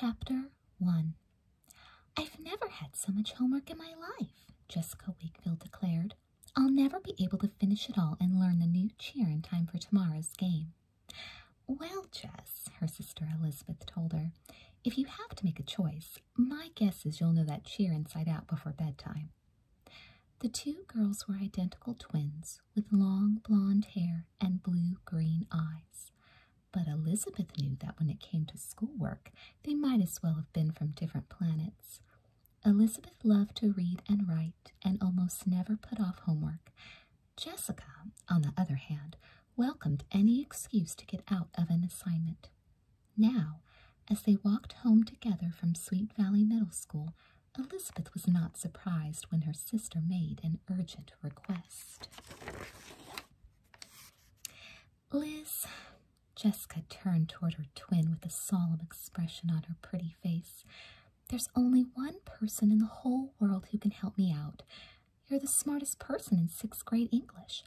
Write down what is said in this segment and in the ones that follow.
Chapter 1 I've never had so much homework in my life, Jessica Wakefield declared I'll never be able to finish it all and learn the new cheer in time for tomorrow's game. Well, Jess, her sister Elizabeth told her, if you have to make a choice, my guess is you'll know that cheer inside out before bedtime. The two girls were identical twins with long blonde hair and blue green eyes. But Elizabeth knew that when it came to schoolwork, they might as well have been from different planets. Elizabeth loved to read and write and almost never put off homework. Jessica, on the other hand, welcomed any excuse to get out of an assignment. Now, as they walked home together from Sweet Valley Middle School, Elizabeth was not surprised when her sister made an urgent request. Liz, Jessica turned toward her twin with a solemn expression on her pretty face. There's only one person in the whole world who can help me out. You're the smartest person in sixth grade English.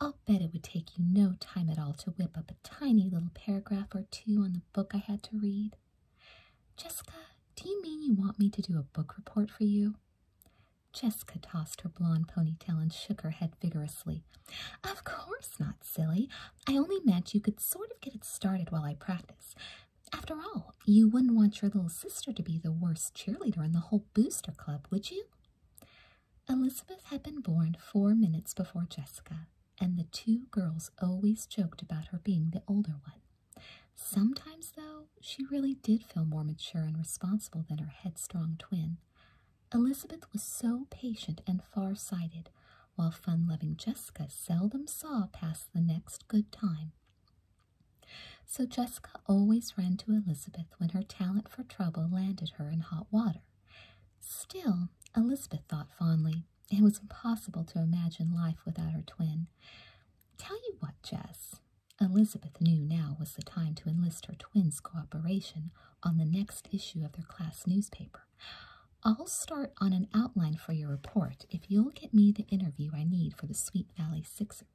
I'll bet it would take you no time at all to whip up a tiny little paragraph or two on the book I had to read. Jessica, do you mean you want me to do a book report for you? Jessica tossed her blonde ponytail and shook her head vigorously. Of course not silly. I only meant you could sort of get it started while I practice. After all, you wouldn't want your little sister to be the worst cheerleader in the whole booster club, would you? Elizabeth had been born four minutes before Jessica, and the two girls always joked about her being the older one. Sometimes, though, she really did feel more mature and responsible than her headstrong twin. Elizabeth was so patient and far-sighted, while fun-loving Jessica seldom saw past the next good time. So Jessica always ran to Elizabeth when her talent for trouble landed her in hot water. Still, Elizabeth thought fondly, it was impossible to imagine life without her twin. Tell you what, Jess, Elizabeth knew now was the time to enlist her twin's cooperation, on the next issue of their class newspaper. I'll start on an outline for your report if you'll get me the interview I need for the Sweet Valley Sixers.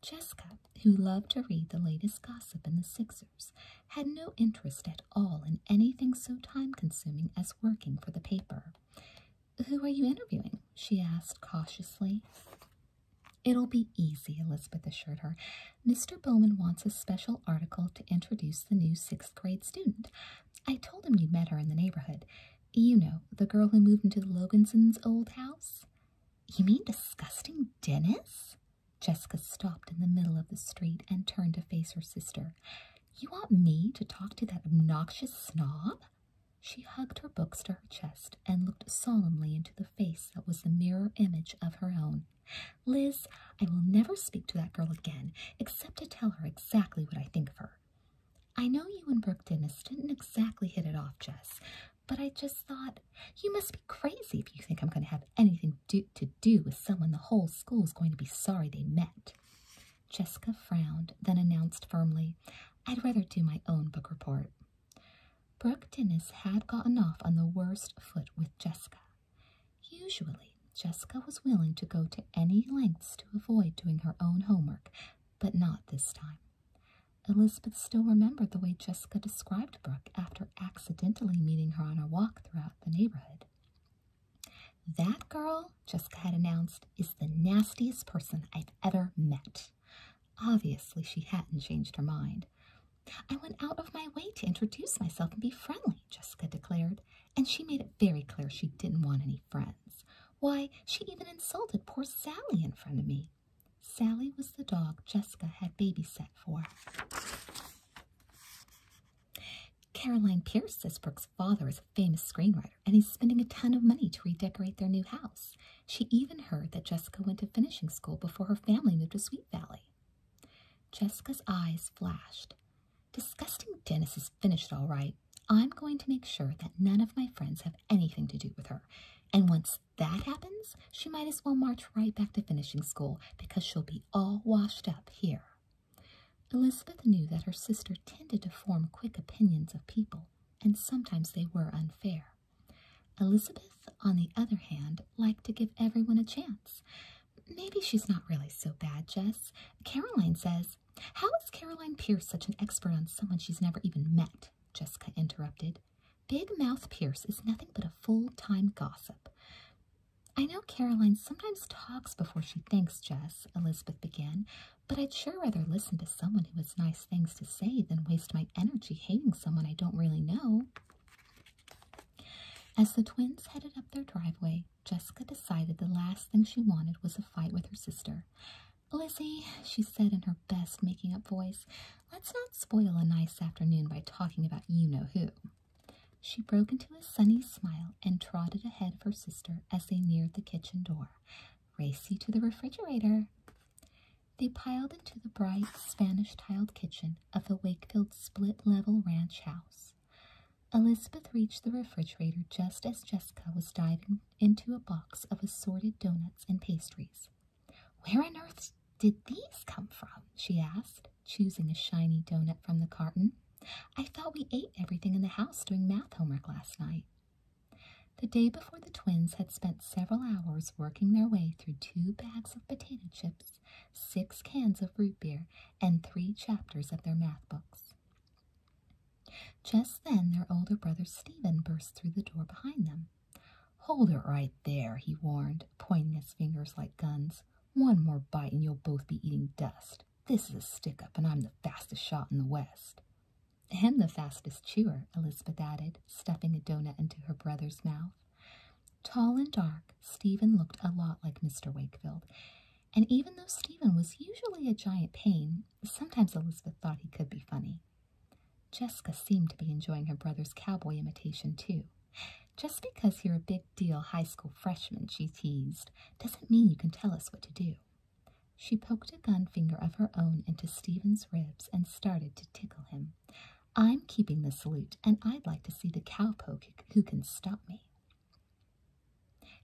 Jessica, who loved to read the latest gossip in the Sixers, had no interest at all in anything so time consuming as working for the paper. Who are you interviewing? she asked cautiously. It'll be easy, Elizabeth assured her. Mr. Bowman wants a special article to introduce the new sixth grade student. I told him you'd met her in the neighborhood. You know, the girl who moved into the Logansons' old house. You mean disgusting Dennis? Jessica stopped in the middle of the street and turned to face her sister. You want me to talk to that obnoxious snob? She hugged her books to her chest and looked solemnly into the face that was the mirror image of her own. Liz, I will never speak to that girl again except to tell her exactly what I think of her. I know you and Brooke Dennis didn't exactly hit it off, Jess, but I just thought you must be crazy if you think I'm going to have anything to do with someone the whole school is going to be sorry they met. Jessica frowned, then announced firmly, I'd rather do my own book report. Brooke Dennis had gotten off on the worst foot with Jessica. Usually, Jessica was willing to go to any lengths to avoid doing her own homework, but not this time. Elizabeth still remembered the way Jessica described Brooke after accidentally meeting her on a walk throughout the neighborhood. That girl, Jessica had announced, is the nastiest person I've ever met. Obviously, she hadn't changed her mind. I went out of my way to introduce myself and be friendly, Jessica declared, and she made it very clear she didn't want any friends. Why, she even insulted poor Sally in front of me. Sally was the dog Jessica had babysat for. Caroline Pierce says Brooke's father is a famous screenwriter and he's spending a ton of money to redecorate their new house. She even heard that Jessica went to finishing school before her family moved to Sweet Valley. Jessica's eyes flashed. Disgusting Dennis is finished all right. I'm going to make sure that none of my friends have anything to do with her. And once that happens, she might as well march right back to finishing school because she'll be all washed up here. Elizabeth knew that her sister tended to form quick opinions of people, and sometimes they were unfair. Elizabeth, on the other hand, liked to give everyone a chance. Maybe she's not really so bad, Jess. Caroline says, How is Caroline Pierce such an expert on someone she's never even met? Jessica interrupted. Big Mouth Pierce is nothing but a full time gossip. I know Caroline sometimes talks before she thinks, Jess, Elizabeth began, but I'd sure rather listen to someone who has nice things to say than waste my energy hating someone I don't really know. As the twins headed up their driveway, Jessica decided the last thing she wanted was a fight with her sister. Lizzie, she said in her best making up voice, let's not spoil a nice afternoon by talking about you know who. She broke into a sunny smile and trotted ahead of her sister as they neared the kitchen door. Race to the refrigerator. They piled into the bright Spanish tiled kitchen of the Wakefield split level ranch house. Elizabeth reached the refrigerator just as Jessica was diving into a box of assorted donuts and pastries. Where on earth did these come from? she asked, choosing a shiny donut from the carton. I thought we ate everything in the house doing math homework last night. The day before, the twins had spent several hours working their way through two bags of potato chips six cans of root beer and three chapters of their math books. Just then their older brother Stephen burst through the door behind them. Hold it right there, he warned, pointing his fingers like guns. One more bite and you'll both be eating dust. This is a stick up, and I'm the fastest shot in the West. And the fastest chewer, Elizabeth added, stuffing a donut into her brother's mouth. Tall and dark, Stephen looked a lot like Mr. Wakefield, and even though Stephen was usually a giant pain, sometimes Elizabeth thought he could be funny. Jessica seemed to be enjoying her brother's cowboy imitation, too. Just because you're a big deal high school freshman, she teased, doesn't mean you can tell us what to do. She poked a gun finger of her own into Stephen's ribs and started to tickle him. I'm keeping the salute, and I'd like to see the cowpoke who can stop me.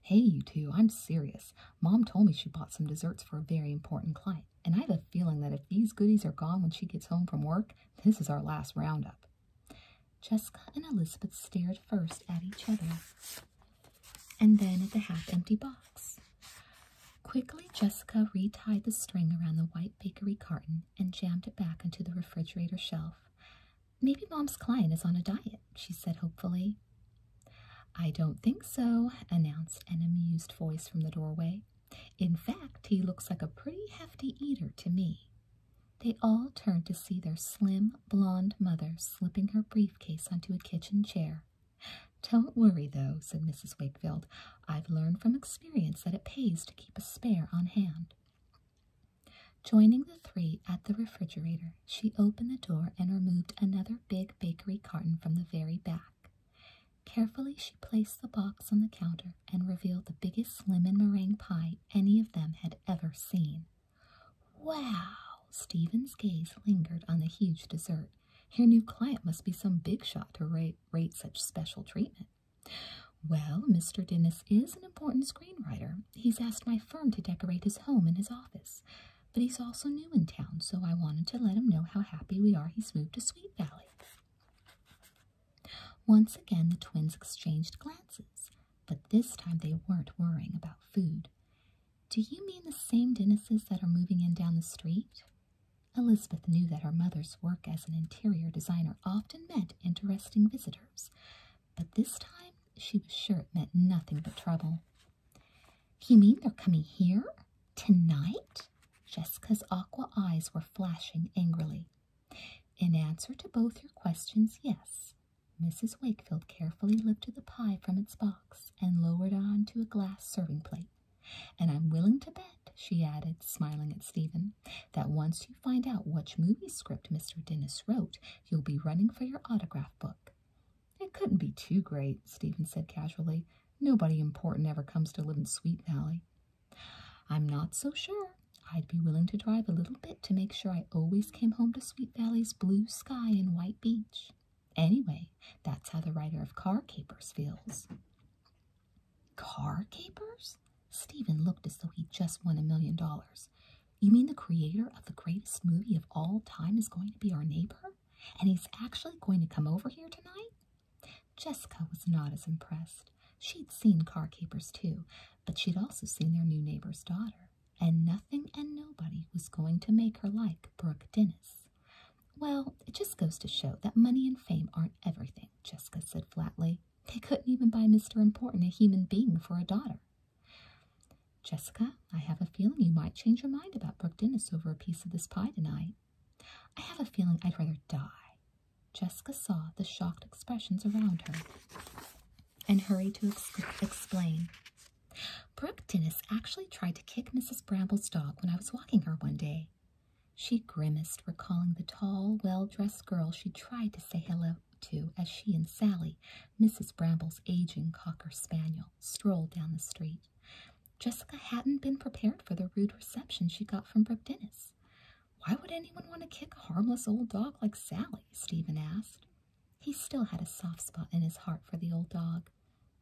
Hey, you two, I'm serious. Mom told me she bought some desserts for a very important client, and I have a feeling that if these goodies are gone when she gets home from work, this is our last roundup. Jessica and Elizabeth stared first at each other and then at the half empty box. Quickly, Jessica retied the string around the white bakery carton and jammed it back into the refrigerator shelf. Maybe Mom's client is on a diet, she said hopefully. I don't think so, announced an amused voice from the doorway. In fact, he looks like a pretty hefty eater to me. They all turned to see their slim, blonde mother slipping her briefcase onto a kitchen chair. Don't worry, though, said Mrs. Wakefield. I've learned from experience that it pays to keep a spare on hand. Joining the three at the refrigerator, she opened the door and removed another big bakery carton from the very back. Carefully, she placed the box on the counter and revealed the biggest lemon meringue pie any of them had ever seen. Wow! Stephen's gaze lingered on the huge dessert. Your new client must be some big shot to rate such special treatment. Well, Mr. Dennis is an important screenwriter. He's asked my firm to decorate his home and his office. But he's also new in town, so I wanted to let him know how happy we are he's moved to Sweet Valley. Once again, the twins exchanged glances, but this time they weren't worrying about food. Do you mean the same Dennises that are moving in down the street? Elizabeth knew that her mother's work as an interior designer often meant interesting visitors but this time she was sure it meant nothing but trouble. You mean they're coming here? Tonight? Jessica's aqua eyes were flashing angrily. In answer to both your questions, yes. Mrs. Wakefield carefully lifted the pie from its box and lowered it onto a glass serving plate. And I'm willing to bet, she added, smiling at Stephen, that once you find out which movie script Mr. Dennis wrote, you'll be running for your autograph book. It couldn't be too great, Stephen said casually. Nobody important ever comes to live in Sweet Valley. I'm not so sure. I'd be willing to drive a little bit to make sure I always came home to Sweet Valley's blue sky and white beach. Anyway, that's how the writer of Car Capers feels. Car Capers? Stephen looked as though he'd just won a million dollars. You mean the creator of the greatest movie of all time is going to be our neighbor? And he's actually going to come over here tonight? Jessica was not as impressed. She'd seen car capers too, but she'd also seen their new neighbor's daughter, and nothing and nobody was going to make her like Brooke Dennis. Well, it just goes to show that money and fame aren't everything, Jessica said flatly they couldn't even buy Mr. Important a human being for a daughter. Jessica, I have a feeling you might change your mind about Brooke Dennis over a piece of this pie tonight. I have a feeling I'd rather die. Jessica saw the shocked expressions around her and hurried to explain. Brooke Dennis actually tried to kick Mrs. Bramble's dog when I was walking her one day. She grimaced, recalling the tall, well dressed girl she tried to say hello out to as she and Sally, Mrs. Bramble's aging cocker spaniel, strolled down the street. Jessica hadn't been prepared for the rude reception she got from Brooke Dennis. Why would anyone want to kick a harmless old dog like Sally? Stephen asked. He still had a soft spot in his heart for the old dog.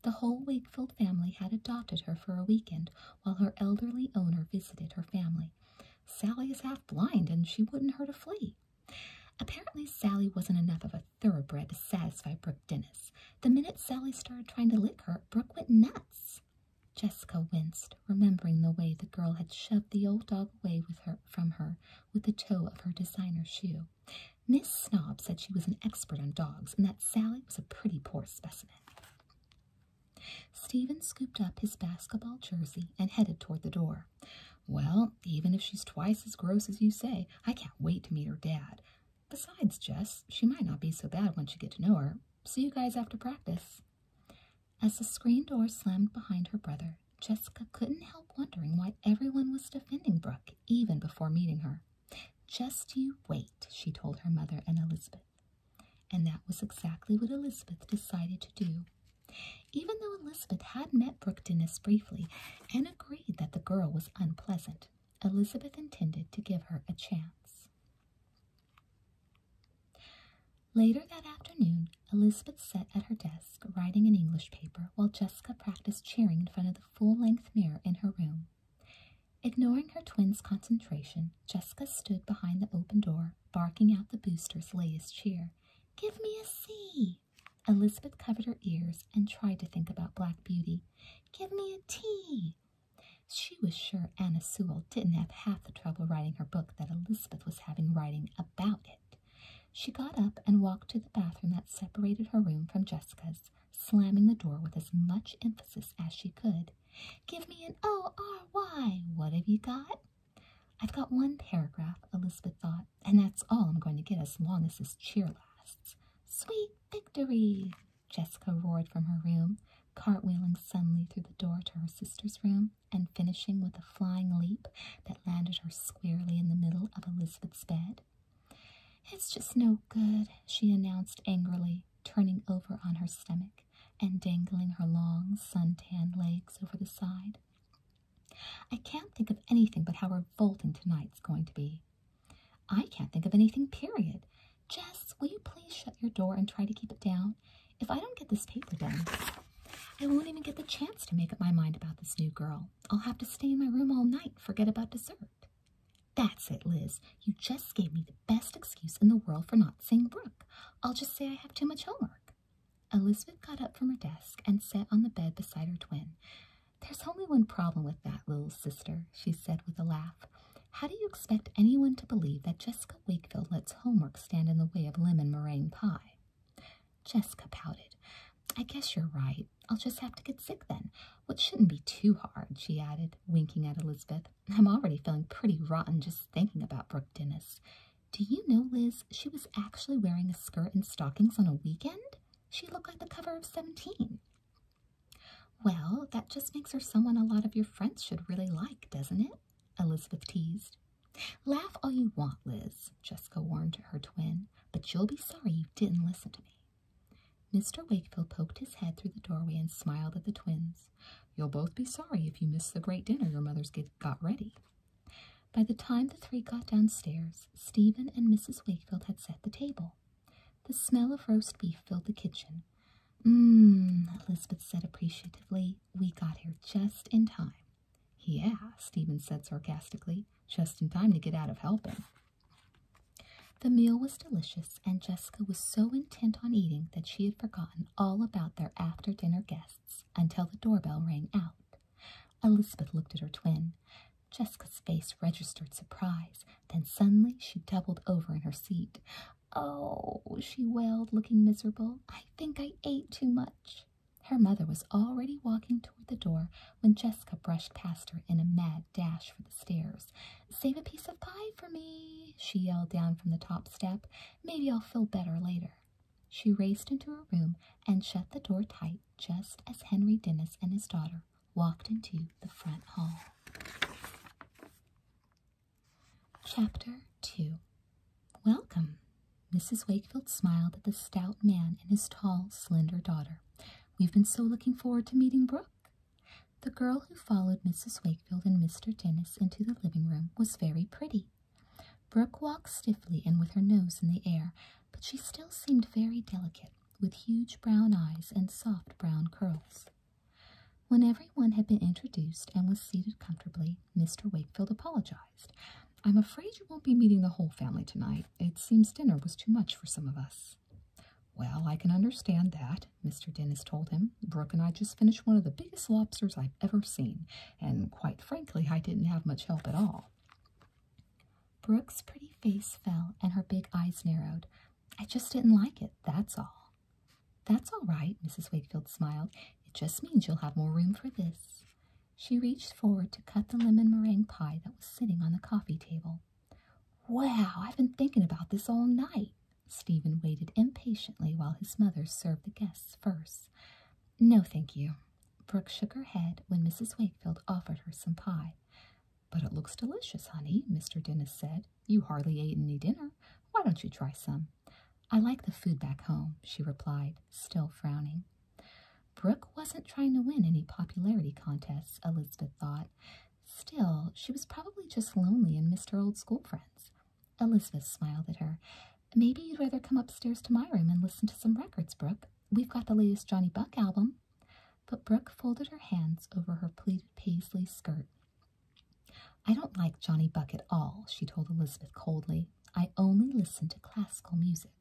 The whole Wakefield family had adopted her for a weekend while her elderly owner visited her family. Sally is half blind and she wouldn't hurt a flea. Apparently, Sally wasn't enough of a thoroughbred to satisfy Brook Dennis. The minute Sally started trying to lick her, Brook went nuts. Jessica winced, remembering the way the girl had shoved the old dog away with her from her with the toe of her designer shoe. Miss Snob said she was an expert on dogs and that Sally was a pretty poor specimen. Stephen scooped up his basketball jersey and headed toward the door. Well, even if she's twice as gross as you say, I can't wait to meet her dad. Besides, Jess, she might not be so bad once you get to know her. See you guys after practice. As the screen door slammed behind her brother, Jessica couldn't help wondering why everyone was defending Brooke even before meeting her. Just you wait, she told her mother and Elizabeth. And that was exactly what Elizabeth decided to do even though Elizabeth had met Brookdennis briefly and agreed that the girl was unpleasant, Elizabeth intended to give her a chance. Later that afternoon, Elizabeth sat at her desk writing an English paper while Jessica practiced cheering in front of the full length mirror in her room. Ignoring her twin's concentration, Jessica stood behind the open door, barking out the booster's latest cheer. Give me a C. Elizabeth covered her ears and tried to think about Black Beauty. Give me a T. She was sure Anna Sewell didn't have half the trouble writing her book that Elizabeth was having writing about it. She got up and walked to the bathroom that separated her room from Jessica's, slamming the door with as much emphasis as she could. Give me an O R Y. What have you got? I've got one paragraph, Elizabeth thought, and that's all I'm going to get as long as this cheer lasts. Sweet victory! Jessica roared from her room, cartwheeling suddenly through the door to her sister's room and finishing with a flying leap that landed her squarely in the middle of Elizabeth's bed. It's just no good, she announced angrily, turning over on her stomach and dangling her long, sun-tanned legs over the side. I can't think of anything but how revolting tonight's going to be. I can't think of anything, period. Jess, will you please shut your door and try to keep it down? If I don't get this paper done, I won't even get the chance to make up my mind about this new girl. I'll have to stay in my room all night forget about dessert. That's it, Liz. You just gave me the best excuse in the world for not seeing Brooke. I'll just say I have too much homework. Elizabeth got up from her desk and sat on the bed beside her twin. There's only one problem with that, little sister, she said with a laugh. How do you expect anyone to believe that Jessica Wakefield lets homework stand in the way of lemon meringue pie? Jessica pouted. I guess you're right. I'll just have to get sick then. Well, shouldn't be too hard, she added, winking at Elizabeth. I'm already feeling pretty rotten just thinking about Brooke Dennis. Do you know, Liz, she was actually wearing a skirt and stockings on a weekend? She looked like the cover of 17. Well, that just makes her someone a lot of your friends should really like, doesn't it? Elizabeth teased. Laugh all you want, Liz, Jessica warned her twin, but you'll be sorry you didn't listen to me. Mr. Wakefield poked his head through the doorway and smiled at the twins. You'll both be sorry if you miss the great dinner your mother's got ready. By the time the three got downstairs, Stephen and Mrs. Wakefield had set the table. The smell of roast beef filled the kitchen. Mmm, Elizabeth said appreciatively. We got here just in time. Yeah, Stephen said sarcastically, just in time to get out of helping. The meal was delicious, and Jessica was so intent on eating that she had forgotten all about their after dinner guests until the doorbell rang out. Elizabeth looked at her twin. Jessica's face registered surprise, then suddenly she doubled over in her seat. Oh, she wailed, looking miserable. I think I ate too much. Her mother was already walking toward the door when Jessica brushed past her in a mad dash for the stairs. Save a piece of pie for me, she yelled down from the top step. Maybe I'll feel better later. She raced into her room and shut the door tight just as Henry Dennis and his daughter walked into the front hall. Chapter 2 Welcome. Mrs. Wakefield smiled at the stout man and his tall, slender daughter. We've been so looking forward to meeting Brooke. The girl who followed Mrs. Wakefield and Mr. Dennis into the living room was very pretty tea. Brooke walked stiffly and with her nose in the air, but she still seemed very delicate, with huge brown eyes and soft brown curls. When everyone had been introduced and was seated comfortably, Mr. Wakefield apologized. I'm afraid you won't be meeting the whole family tonight. It seems dinner was too much for some of us. Well, I can understand that, Mr. Dennis told him. Brooke and I just finished one of the biggest lobsters I've ever seen, and quite frankly, I didn't have much help at all. Brooke's pretty face fell and her big eyes narrowed. I just didn't like it, that's all. That's all right, Mrs. Wakefield smiled. It just means you'll have more room for this. She reached forward to cut the lemon meringue pie that was sitting on the coffee table. Wow, I've been thinking about this all night. Stephen waited impatiently while his mother served the guests first. No, thank you, Brooke shook her head when Mrs. Wakefield offered her some pie. But it looks delicious, honey, Mr. Dennis said. You hardly ate any dinner. Why don't you try some? I like the food back home, she replied, still frowning. Brooke wasn't trying to win any popularity contests, Elizabeth thought. Still, she was probably just lonely and missed her old school friends. Elizabeth smiled at her. Maybe you'd rather come upstairs to my room and listen to some records, Brooke. We've got the latest Johnny Buck album. But Brooke folded her hands over her pleated paisley skirt. I don't like Johnny Buck at all, she told Elizabeth coldly. I only listen to classical music.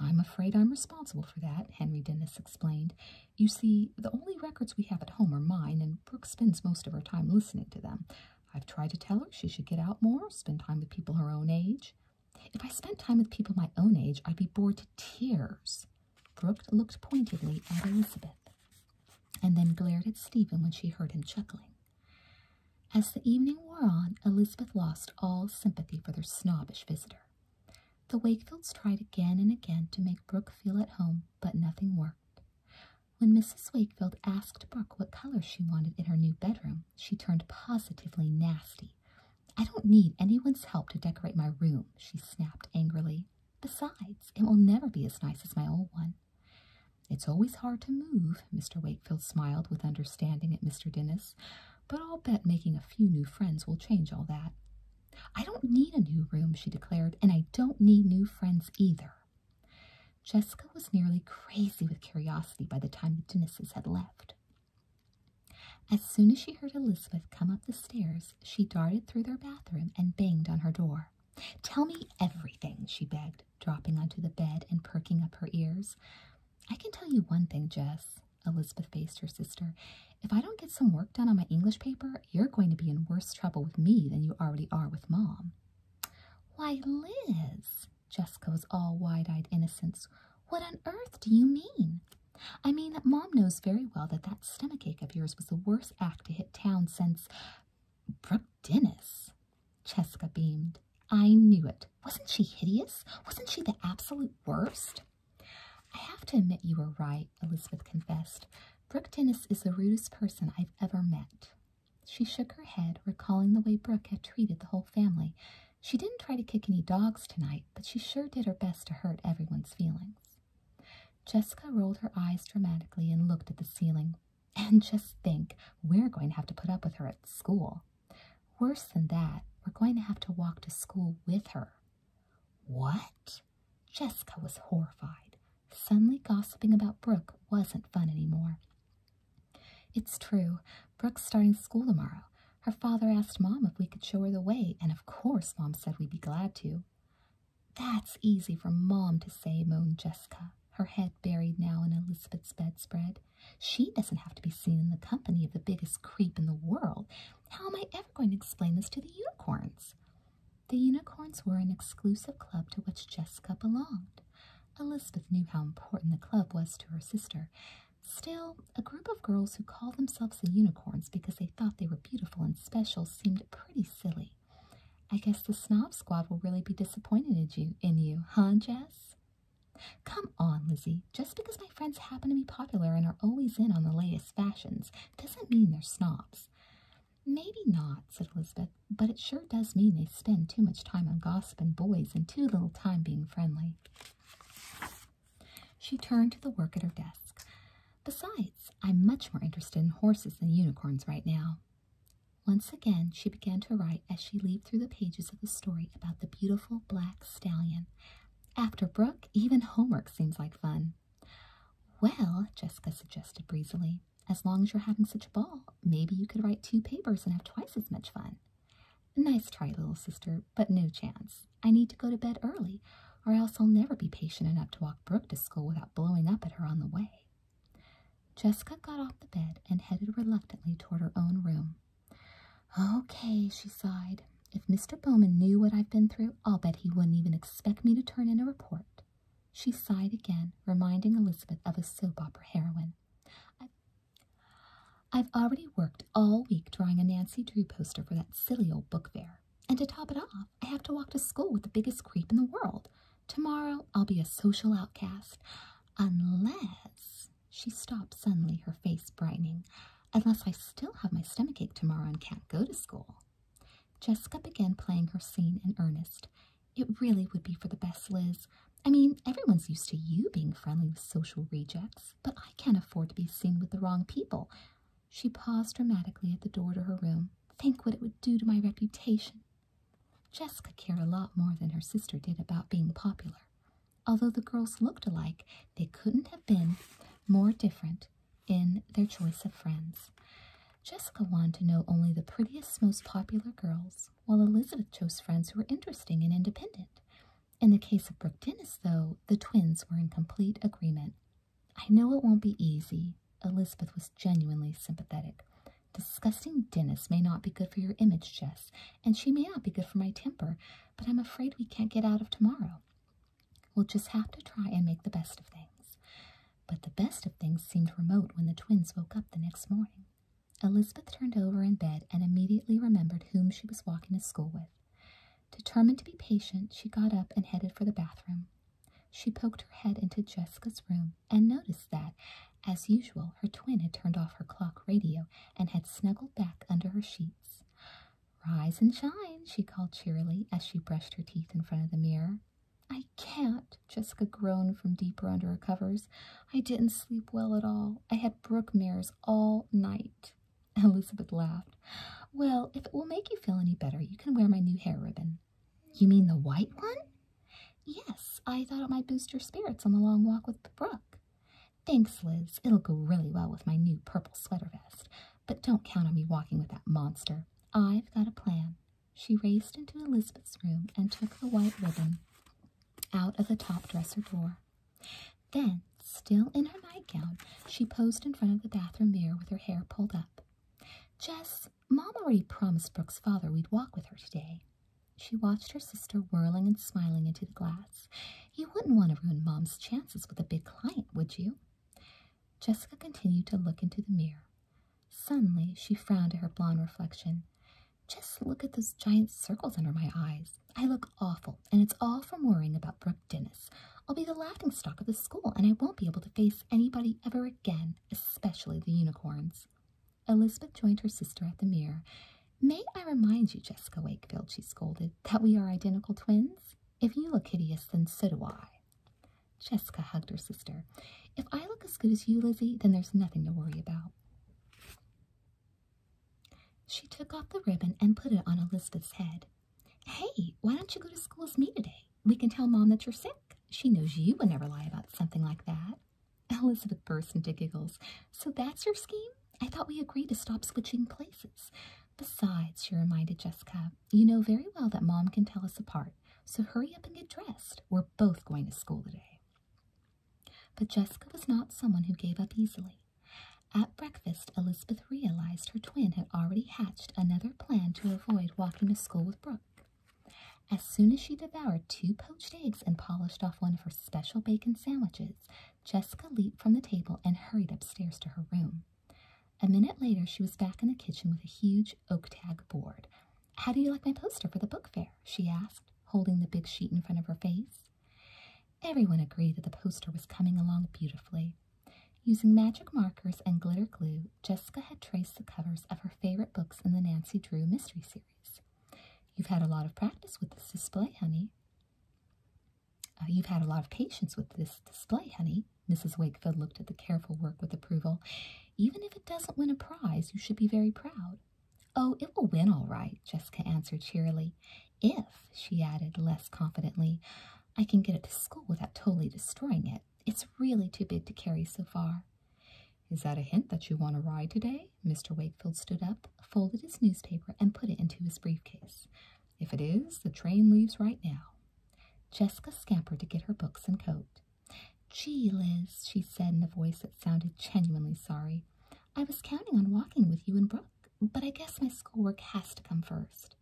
I'm afraid I'm responsible for that, Henry Dennis explained. You see, the only records we have at home are mine, and Brooke spends most of her time listening to them. I've tried to tell her she should get out more, spend time with people her own age. If I spent time with people my own age, I'd be bored to tears. Brooke looked pointedly at Elizabeth and then glared at Stephen when she heard him chuckling. As the evening wore on, Elizabeth lost all sympathy for their snobbish visitor. The Wakefields tried again and again to make Brooke feel at home, but nothing worked. When Mrs. Wakefield asked Brooke what color she wanted in her new bedroom, she turned positively nasty. I don't need anyone's help to decorate my room, she snapped angrily. Besides, it will never be as nice as my old one. It's always hard to move, Mr. Wakefield smiled with understanding at Mr. Dennis, but I'll bet making a few new friends will change all that. I don't need a new room, she declared, and I don't need new friends either. Jessica was nearly crazy with curiosity by the time the Dennises had left. As soon as she heard Elizabeth come up the stairs, she darted through their bathroom and banged on her door. Tell me everything, she begged, dropping onto the bed and perking up her ears. I can tell you one thing, Jess, Elizabeth faced her sister. If I don't get some work done on my English paper, you're going to be in worse trouble with me than you already are with Mom. Why, Liz, Jessica was all wide-eyed innocence. What on earth do you mean? I mean that Mom knows very well that that stomach ache of yours was the worst act to hit town since Brooke Dennis. Jessica beamed. I knew it. Wasn't she hideous? Wasn't she the absolute worst? I have to admit you were right, Elizabeth confessed. Brooke Dennis is the rudest person I've ever met. She shook her head, recalling the way Brooke had treated the whole family. She didn't try to kick any dogs tonight, but she sure did her best to hurt everyone's feelings. Jessica rolled her eyes dramatically and looked at the ceiling. And just think, we're going to have to put up with her at school. Worse than that, we're going to have to walk to school with her. What? Jessica was horrified. Suddenly gossiping about Brooke wasn't fun anymore. It's true. Brooke's starting school tomorrow. Her father asked Mom if we could show her the way, and of course Mom said we'd be glad to. That's easy for Mom to say, moaned Jessica, her head buried now in Elizabeth's bedspread. She doesn't have to be seen in the company of the biggest creep in the world. How am I ever going to explain this to the unicorns? The unicorns were an exclusive club to which Jessica belonged. Elizabeth knew how important the club was to her sister. Still, a group of girls who called themselves the unicorns because they thought they were beautiful and special seemed pretty silly. I guess the snob squad will really be disappointed in you, huh, Jess? Come on, Lizzie. Just because my friends happen to be popular and are always in on the latest fashions doesn't mean they're snobs. Maybe not, said Elizabeth, but it sure does mean they spend too much time on gossip and boys and too little time being friendly. She turned to the work at her desk. Besides, I'm much more interested in horses than unicorns right now. Once again, she began to write as she leaped through the pages of the story about the beautiful black stallion. After Brook, even homework seems like fun. Well, Jessica suggested breezily, as long as you're having such a ball, maybe you could write two papers and have twice as much fun. Nice try, little sister, but no chance. I need to go to bed early, or else I'll never be patient enough to walk Brooke to school without blowing up at her on the way. Jessica got off the bed and headed reluctantly toward her own room. Okay, she sighed. If Mr. Bowman knew what I've been through, I'll bet he wouldn't even expect me to turn in a report. She sighed again, reminding Elizabeth of a soap opera heroine. I've already worked all week drawing a Nancy Drew poster for that silly old book fair. And to top it off, I have to walk to school with the biggest creep in the world. Tomorrow I'll be a social outcast. Unless. She stopped suddenly, her face brightening. Unless I still have my stomach ache tomorrow and can't go to school. Jessica began playing her scene in earnest. It really would be for the best, Liz. I mean, everyone's used to you being friendly with social rejects, but I can't afford to be seen with the wrong people. She paused dramatically at the door to her room. Think what it would do to my reputation. Jessica cared a lot more than her sister did about being popular. Although the girls looked alike, they couldn't have been more different in their choice of friends. Jessica wanted to know only the prettiest, most popular girls while Elizabeth chose friends who were interesting and independent. In the case of Brooke Dennis, though, the twins were in complete agreement. I know it won't be easy. Elizabeth was genuinely sympathetic. Disgusting Dennis may not be good for your image, Jess, and she may not be good for my temper, but I'm afraid we can't get out of tomorrow. We'll just have to try and make the best of things. But the best of things seemed remote when the twins woke up the next morning. Elizabeth turned over in bed and immediately remembered whom she was walking to school with. Determined to be patient, she got up and headed for the bathroom. She poked her head into Jessica's room and noticed that, as usual, her twin had turned off her clock radio and had snuggled back under her sheets. Rise and shine, she called cheerily as she brushed her teeth in front of the mirror. I can't, Jessica groaned from deeper under her covers. I didn't sleep well at all. I had brookmares all night. Elizabeth laughed. Well, if it will make you feel any better, you can wear my new hair ribbon. You mean the white one? Yes, I thought it might boost your spirits on the long walk with Brook. Thanks, Liz. It'll go really well with my new purple sweater vest. But don't count on me walking with that monster. I've got a plan. She raced into Elizabeth's room and took the white ribbon out of the top dresser drawer. Then, still in her nightgown, she posed in front of the bathroom mirror with her hair pulled up. Jess, Mom already promised Brooke's father we'd walk with her today. She watched her sister whirling and smiling into the glass. You wouldn't want to ruin Mom's chances with a big client, would you? Jessica continued to look into the mirror. Suddenly, she frowned at her blonde reflection. Just look at those giant circles under my eyes. I look awful, and it's all from worrying about Brooke Dennis. I'll be the laughing stock of the school, and I won't be able to face anybody ever again, especially the unicorns. Elizabeth joined her sister at the mirror. May I remind you, Jessica Wakefield, she scolded, that we are identical twins? If you look hideous, then so do I. Jessica hugged her sister. If I look as good as you, Lizzie, then there's nothing to worry about. She took off the ribbon and put it on Elizabeth's head. Hey, why don't you go to school with me today? We can tell Mom that you're sick. She knows you would never lie about something like that. Elizabeth burst into giggles. So that's your scheme? I thought we agreed to stop switching places. Besides, she reminded Jessica, you know very well that Mom can tell us apart, so hurry up and get dressed. We're both going to school today. But Jessica was not someone who gave up easily. At breakfast, Elizabeth realized her twin had already hatched another plan to avoid walking to school with Brooke. As soon as she devoured two poached eggs and polished off one of her special bacon sandwiches, Jessica leaped from the table and hurried upstairs to her room. A minute later, she was back in the kitchen with a huge oak tag board. How do you like my poster for the book fair? she asked, holding the big sheet in front of her face. Everyone agreed that the poster was coming along beautifully. Using magic markers and glitter glue, Jessica had traced the covers of her favorite books in the Nancy Drew mystery series. You've had a lot of practice with this display, honey. Uh, you've had a lot of patience with this display, honey. Mrs. Wakefield looked at the careful work with approval. Even if it doesn't win a prize, you should be very proud. Oh, it will win all right, Jessica answered cheerily. If, she added less confidently, I can get it to school without totally destroying it. It's really too big to carry so far. Is that a hint that you want to ride today? Mr. Wakefield stood up, folded his newspaper, and put it into his briefcase. If it is, the train leaves right now. Jessica scampered to get her books and coat. Gee, Liz, she said in a voice that sounded genuinely sorry. I was counting on walking with you and Brooke, but I guess my schoolwork has to come first.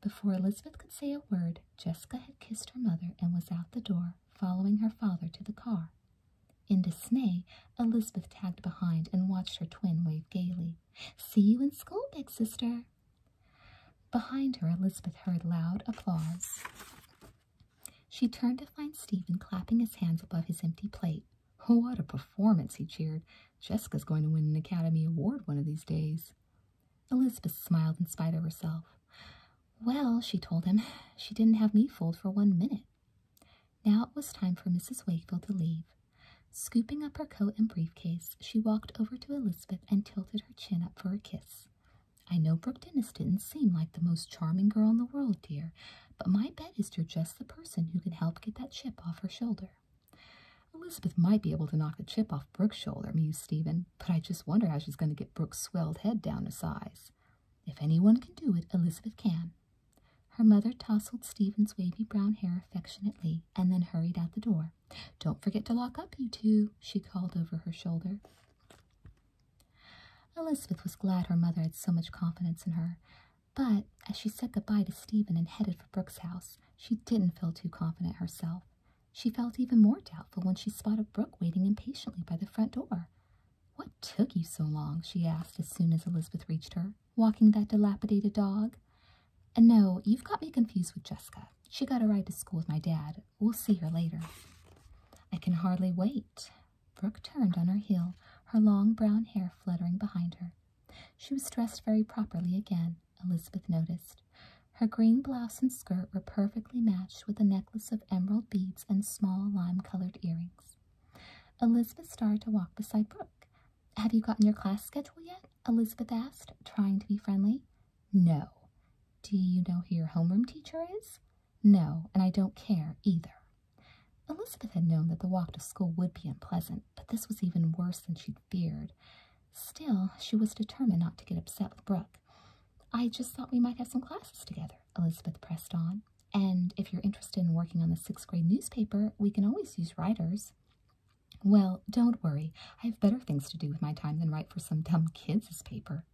Before Elizabeth could say a word, Jessica had kissed her mother and was out the door, following her father to the car. In dismay, Elizabeth tagged behind and watched her twin wave gaily. See you in school, big sister. Behind her, Elizabeth heard loud applause. She turned to find Stephen clapping his hands above his empty plate. Oh, what a performance, he cheered. Jessica's going to win an Academy Award one of these days. Elizabeth smiled in spite of herself. Well, she told him, she didn't have me fooled for one minute. Now it was time for Mrs. Wakefield to leave. Scooping up her coat and briefcase, she walked over to Elizabeth and tilted her chin up for a kiss. I know Brooke Dennis didn't seem like the most charming girl in the world, dear, but my bet is you're just the person who can help get that chip off her shoulder. Elizabeth might be able to knock the chip off Brooke's shoulder, mused Stephen, but I just wonder how she's going to get Brooke's swelled head down to size. If anyone can do it, Elizabeth can. Her mother tousled Stephen's wavy brown hair affectionately and then hurried out the door. Don't forget to lock up, you two, she called over her shoulder. Elizabeth was glad her mother had so much confidence in her, but as she said goodbye to Stephen and headed for Brooke's house, she didn't feel too confident herself. She felt even more doubtful when she spotted Brooke waiting impatiently by the front door. What took you so long? she asked as soon as Elizabeth reached her. Walking that dilapidated dog? And no, you've got me confused with Jessica. She got a ride to school with my dad. We'll see her later. I can hardly wait. Brooke turned on her heel, her long brown hair fluttering behind her. She was dressed very properly again, Elizabeth noticed. Her green blouse and skirt were perfectly matched with a necklace of emerald beads and small lime-colored earrings. Elizabeth started to walk beside Brooke. Have you gotten your class schedule yet? Elizabeth asked, trying to be friendly. No. Do you know who your homeroom teacher is? No, and I don't care either. Elizabeth had known that the walk to school would be unpleasant, but this was even worse than she'd feared. Still, she was determined not to get upset with Brooke. I just thought we might have some classes together, Elizabeth pressed on. And if you're interested in working on the sixth grade newspaper, we can always use writers. Well, don't worry. I have better things to do with my time than write for some dumb kids' paper.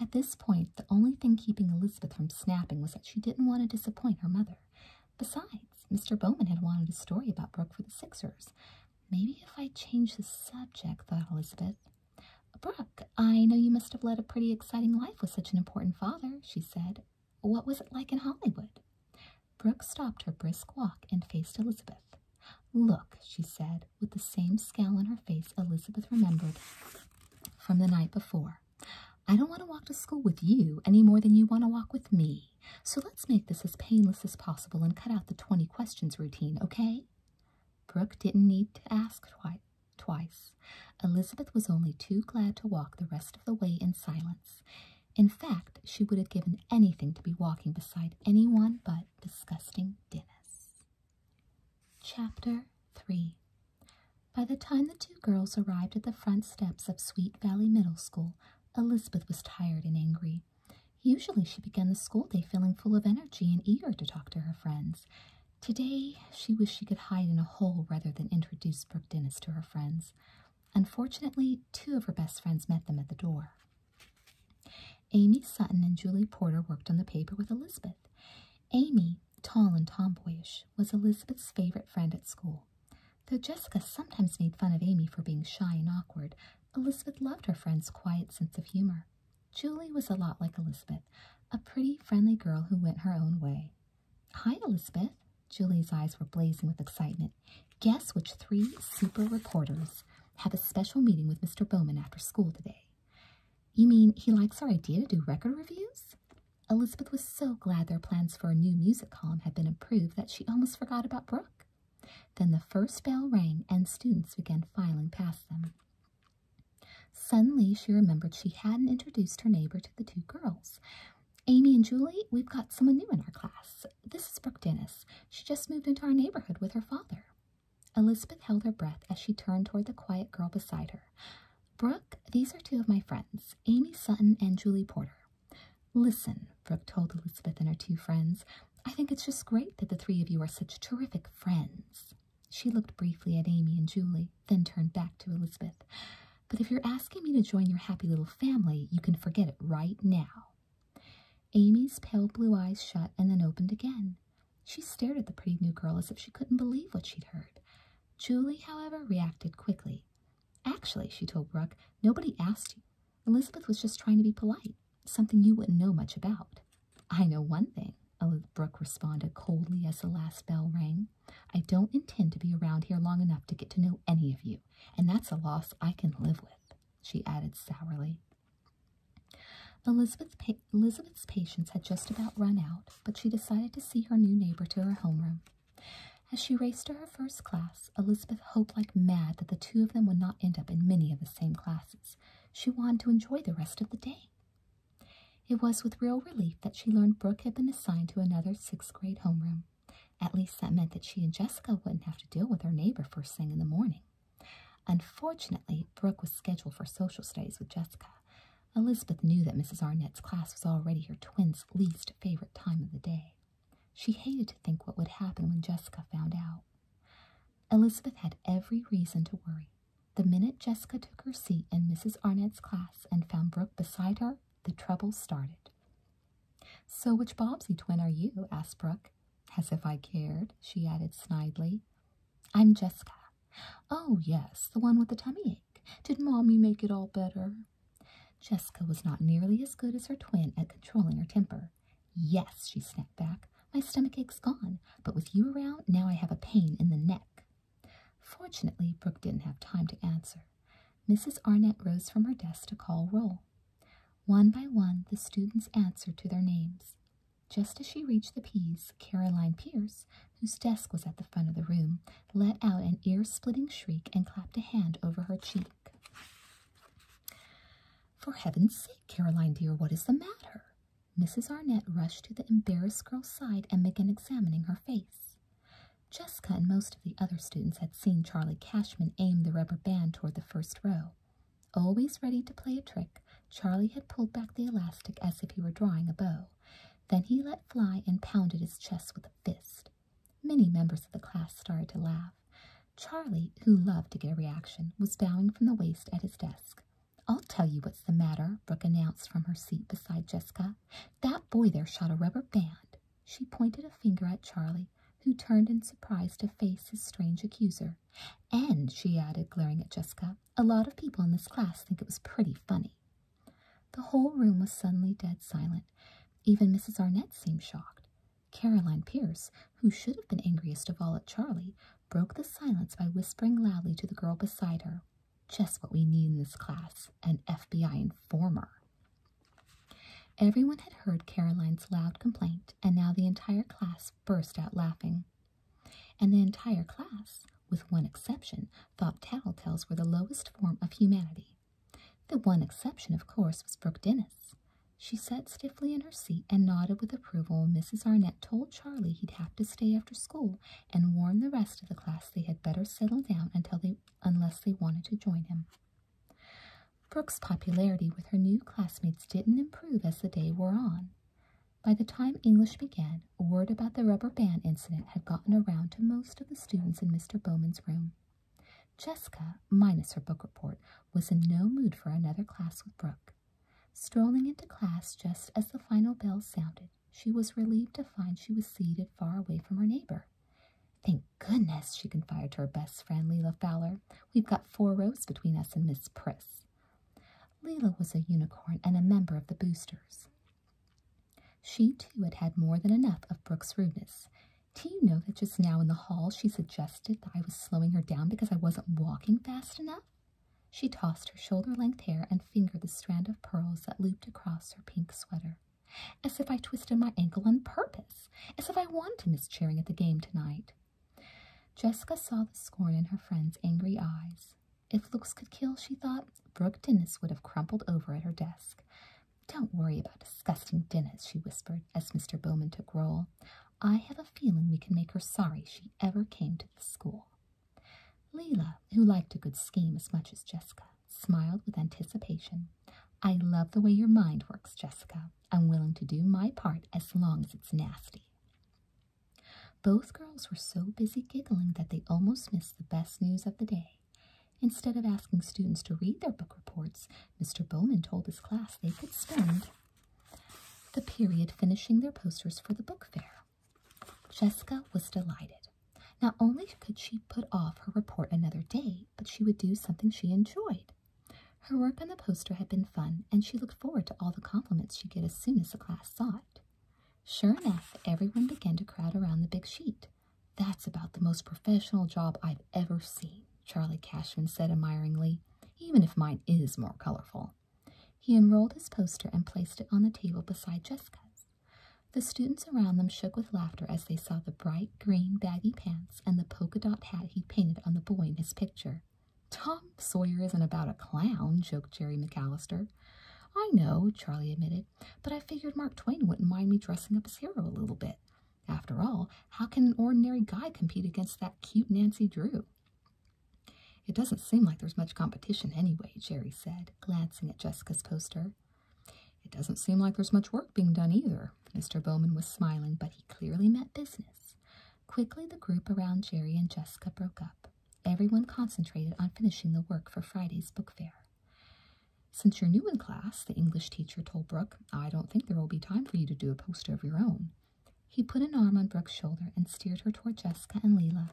At this point, the only thing keeping Elizabeth from snapping was that she didn't want to disappoint her mother. Besides, Mr. Bowman had wanted a story about Brooke for the Sixers. Maybe if I change the subject, thought Elizabeth. Brooke, I know you must have led a pretty exciting life with such an important father, she said. What was it like in Hollywood? Brooke stopped her brisk walk and faced Elizabeth. Look, she said, with the same scowl on her face Elizabeth remembered from the night before. I don't want to walk to school with you any more than you want to walk with me, so let's make this as painless as possible and cut out the 20 questions routine, okay? Brooke didn't need to ask twice. Elizabeth was only too glad to walk the rest of the way in silence. In fact, she would have given anything to be walking beside anyone but disgusting Dennis. Chapter 3 by the time the two girls arrived at the front steps of Sweet Valley Middle School, Elizabeth was tired and angry. Usually she began the school day feeling full of energy and eager to talk to her friends. Today she wished she could hide in a hole rather than introduce Brooke Dennis to her friends. Unfortunately, two of her best friends met them at the door. Amy Sutton and Julie Porter worked on the paper with Elizabeth. Amy tall and tomboyish, was Elizabeth's favorite friend at school. Though Jessica sometimes made fun of Amy for being shy and awkward, Elizabeth loved her friend's quiet sense of humor. Julie was a lot like Elizabeth, a pretty, friendly girl who went her own way. Hi, Elizabeth. Julie's eyes were blazing with excitement. Guess which three super reporters have a special meeting with Mr. Bowman after school today? You mean he likes our idea to do record reviews? Elizabeth was so glad their plans for a new music column had been approved that she almost forgot about Brooke. Then the first bell rang and students began filing past them. Suddenly, she remembered she hadn't introduced her neighbor to the two girls. Amy and Julie, we've got someone new in our class. This is Brooke Dennis. She just moved into our neighborhood with her father. Elizabeth held her breath as she turned toward the quiet girl beside her. Brooke, these are two of my friends, Amy Sutton and Julie Porter. Listen, Brooke told Elizabeth and her two friends, I think it's just great that the three of you are such terrific friends. She looked briefly at Amy and Julie, then turned back to Elizabeth. But if you're asking me to join your happy little family, you can forget it right now. Amy's pale blue eyes shut and then opened again. She stared at the pretty new girl as if she couldn't believe what she'd heard. Julie, however, reacted quickly. Actually, she told Brooke, nobody asked you. Elizabeth was just trying to be polite, something you wouldn't know much about. I know one thing, Brooke responded coldly as the last bell rang. I don't intend to be around here long enough to get to know any of you, and that's a loss I can live with, she added sourly. Elizabeth's, Elizabeth's patience had just about run out, but she decided to see her new neighbor to her homeroom. As she raced to her first class, Elizabeth hoped like mad that the two of them would not end up in many of the same classes. She wanted to enjoy the rest of the day. It was with real relief that she learned Brooke had been assigned to another sixth grade homeroom. At least that meant that she and Jessica wouldn't have to deal with her neighbor first thing in the morning. Unfortunately, Brooke was scheduled for social studies with Jessica, Elizabeth knew that Mrs. Arnett's class was already her twins' least favorite time of the day. She hated to think what would happen when Jessica found out. Elizabeth had every reason to worry. The minute Jessica took her seat in Mrs. Arnett's class and found Brooke beside her, the trouble started. So which Bobbsey twin are you? asked Brooke. As if I cared, she added snidely. I'm Jessica. Oh, yes, the one with the tummy ache. Did Mommy make it all better? Jessica was not nearly as good as her twin at controlling her temper. Yes, she snapped back. My stomach ache's gone, but with you around, now I have a pain in the neck. Fortunately, Brooke didn't have time to answer. Mrs. Arnett rose from her desk to call roll. One by one, the students answered to their names. Just as she reached the Ps, Caroline Pierce, whose desk was at the front of the room, let out an ear-splitting shriek and clapped a hand over her cheek. For heaven's sake, Caroline dear, what is the matter? Mrs. Arnett rushed to the embarrassed girl's side and began examining her face. Jessica and most of the other students had seen Charlie Cashman aim the rubber band toward the first row. Always ready to play a trick, Charlie had pulled back the elastic as if he were drawing a bow. Then he let fly and pounded his chest with the fist. Many members of the class started to laugh. Charlie, who loved to get a reaction, was bowing from the waist at his desk. I'll tell you what's the matter, Brooke announced from her seat beside Jessica. That boy there shot a rubber band. She pointed a finger at Charlie, who turned in surprise to face his strange accuser. And, she added, glaring at Jessica, a lot of people in this class think it was pretty funny. The whole room was suddenly dead silent. Even Mrs. Arnett seemed shocked. Caroline Pierce, who should have been angriest of all at Charlie, broke the silence by whispering loudly to the girl beside her. Just what we need in this class, an FBI informer. Everyone had heard Caroline's loud complaint, and now the entire class burst out laughing. And the entire class, with one exception, thought tattletales were the lowest form of humanity. The one exception, of course, was Brooke Dennis. She sat stiffly in her seat and nodded with approval when Mrs. Arnett told Charlie he'd have to stay after school and warned the rest of the class they had better settle down until they, unless they wanted to join him. Brooke's popularity with her new classmates didn't improve as the day wore on. By the time English began, word about the rubber band incident had gotten around to most of the students in Mr. Bowman's room. Jessica, minus her book report, was in no mood for another class with Brooke. Strolling into class just as the final bell sounded, she was relieved to find she was seated far away from her neighbor. Thank goodness, she confided to her best friend, Leela Fowler. We've got four rows between us and Miss Priss. Leela was a unicorn and a member of the Boosters. She too had had more than enough of Brooke's rudeness. Do you know that just now in the hall she suggested that I was slowing her down because I wasn't walking fast enough? She tossed her shoulder length hair and fingered the strand of pearls that looped across her pink sweater. As if I twisted my ankle on purpose, as if I wanted to miss cheering at the game tonight. Jessica saw the scorn in her friend's angry eyes. If looks could kill, she thought, Brooke Dennis would have crumpled over at her desk. Don't worry about disgusting dinners, she whispered as Mr. Bowman took roll. I have a feeling we can make her sorry she ever came to the school. Leela, who liked a good scheme as much as Jessica, smiled with anticipation. I love the way your mind works, Jessica. I'm willing to do my part as long as it's nasty. Both girls were so busy giggling that they almost missed the best news of the day. Instead of asking students to read their book reports, Mr. Bowman told his class they could spend the period finishing their posters for the book fair. Jessica was delighted. Not only could she put off her report another day, but she would do something she enjoyed. Her work on the poster had been fun, and she looked forward to all the compliments she'd get as soon as the class saw it. Sure enough, everyone began to crowd around the big sheet. That's about the most professional job I've ever seen, Charlie Cashman said admiringly, even if mine is more colorful. He unrolled his poster and placed it on the table beside Jessica's. The students around them shook with laughter as they saw the bright green baggy pants and the polka dot hat he painted on the boy in his picture. Tom Sawyer isn't about a clown, joked Jerry McAllister. I know, Charlie admitted but I figured Mark Twain wouldn't mind me dressing up as hero a little bit. After all, how can an ordinary guy compete against that cute Nancy Drew? It doesn't seem like there's much competition anyway, Jerry said, glancing at Jessica's poster. It doesn't seem like there's much work being done either. Mr. Bowman was smiling, but he clearly meant business. Quickly, the group around Jerry and Jessica broke up. Everyone concentrated on finishing the work for Friday's book fair. Since you're new in class, the English teacher told Brooke, I don't think there will be time for you to do a poster of your own. He put an arm on Brooke's shoulder and steered her toward Jessica and Leela,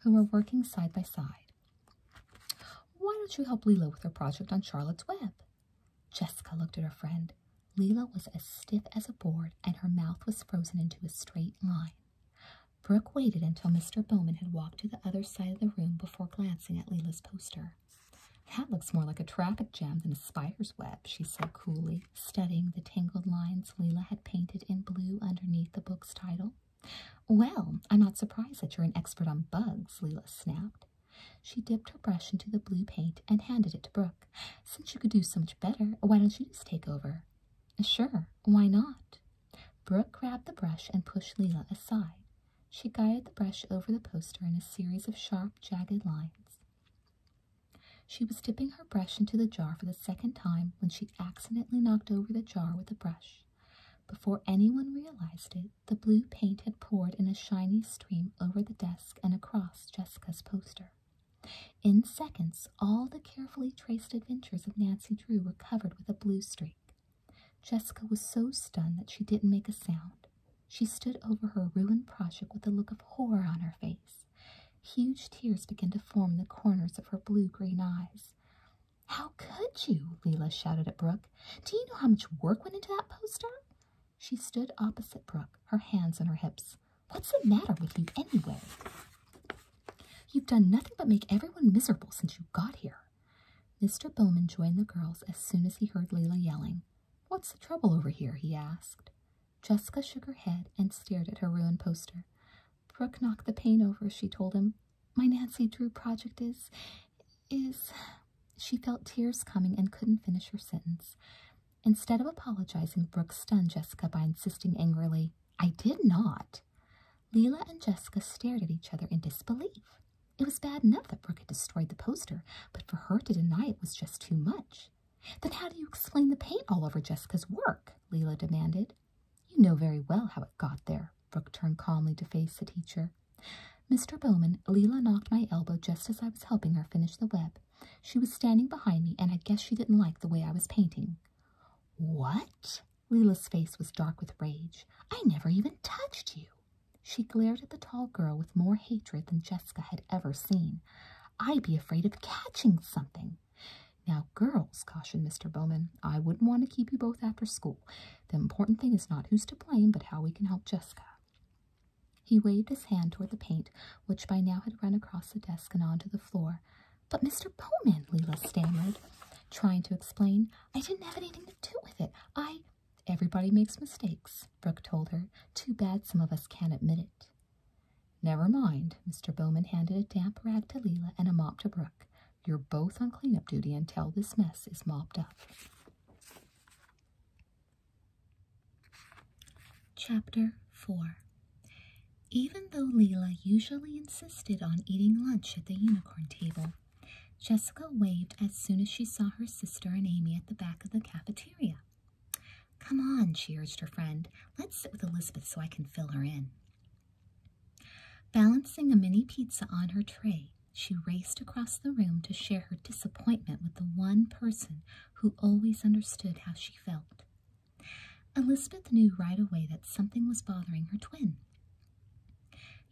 who were working side by side. Why don't you help Leela with her project on Charlotte's Web? Jessica looked at her friend. Leela was as stiff as a board, and her mouth was frozen into a straight line. Brooke waited until Mr. Bowman had walked to the other side of the room before glancing at Leela's poster. That looks more like a traffic jam than a spider's web, she said coolly, studying the tangled lines Leela had painted in blue underneath the book's title. Well, I'm not surprised that you're an expert on bugs, Leela snapped. She dipped her brush into the blue paint and handed it to Brooke. Since you could do so much better, why don't you just take over? Sure, why not? Brooke grabbed the brush and pushed Leela aside. She guided the brush over the poster in a series of sharp, jagged lines. She was dipping her brush into the jar for the second time when she accidentally knocked over the jar with the brush. Before anyone realized it, the blue paint had poured in a shiny stream over the desk and across Jessica's poster. In seconds, all the carefully traced adventures of Nancy Drew were covered with a blue streak. Jessica was so stunned that she didn't make a sound. She stood over her ruined project with a look of horror on her face. Huge tears began to form the corners of her blue green eyes. How could you? Leila? shouted at Brooke. Do you know how much work went into that poster? She stood opposite Brooke, her hands on her hips. What's the matter with you anyway? You've done nothing but make everyone miserable since you got here. Mr. Bowman joined the girls as soon as he heard Leila yelling. What's the trouble over here? he asked. Jessica shook her head and stared at her ruined poster. Brooke knocked the paint over, she told him. My Nancy Drew project is. is. She felt tears coming and couldn't finish her sentence. Instead of apologizing, Brooke stunned Jessica by insisting angrily, I did not. Leila and Jessica stared at each other in disbelief. It was bad enough that Brooke had destroyed the poster, but for her to deny it was just too much. Then how do you explain the paint all over Jessica's work? Leela demanded. You know very well how it got there. Brooke turned calmly to face the teacher. Mr. Bowman, Leela knocked my elbow just as I was helping her finish the web. She was standing behind me, and I guess she didn't like the way I was painting. What? Leela's face was dark with rage. I never even touched you. She glared at the tall girl with more hatred than Jessica had ever seen. I'd be afraid of catching something. Now, girls, cautioned Mr. Bowman, I wouldn't want to keep you both after school. The important thing is not who's to blame, but how we can help Jessica. He waved his hand toward the paint, which by now had run across the desk and onto the floor. But Mr. Bowman, Leela stammered, trying to explain, I didn't have anything to do with it. I, Everybody makes mistakes, Brooke told her. Too bad some of us can't admit it. Never mind. Mr. Bowman handed a damp rag to Leila and a mop to Brooke. You're both on cleanup duty until this mess is mopped up. Chapter 4 Even though Leila usually insisted on eating lunch at the unicorn table, Jessica waved as soon as she saw her sister and Amy at the back of the cafeteria. Come on, she urged her friend. Let's sit with Elizabeth so I can fill her in. Balancing a mini pizza on her tray, she raced across the room to share her disappointment with the one person who always understood how she felt. Elizabeth knew right away that something was bothering her twin.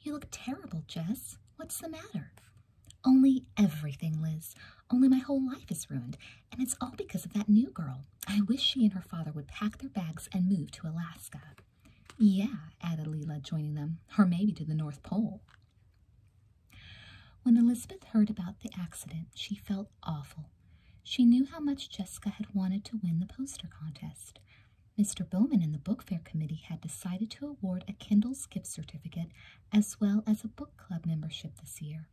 You look terrible, Jess. What's the matter? Only everything, Liz. Only my whole life is ruined, and it's all because of that new girl. I wish she and her father would pack their bags and move to Alaska. Yeah, added Leela, joining them, or maybe to the North Pole. When Elizabeth heard about the accident, she felt awful. She knew how much Jessica had wanted to win the poster contest. Mr. Bowman and the Book Fair Committee had decided to award a Kindle gift certificate as well as a book club membership this year.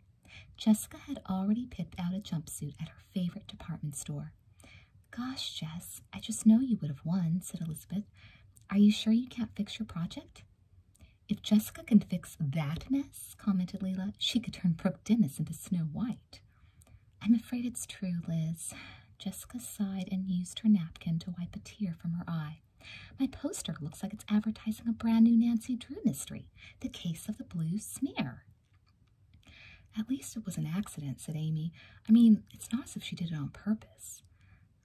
Jessica had already picked out a jumpsuit at her favorite department store. Gosh, Jess, I just know you would have won, said Elizabeth. Are you sure you can't fix your project? If Jessica can fix that mess, commented Leela, she could turn Brooke Dennis into Snow White. I'm afraid it's true, Liz. Jessica sighed and used her napkin to wipe a tear from her eye. My poster looks like it's advertising a brand new Nancy Drew mystery, The Case of the Blue Smear. At least it was an accident, said Amy. I mean, it's not as if she did it on purpose.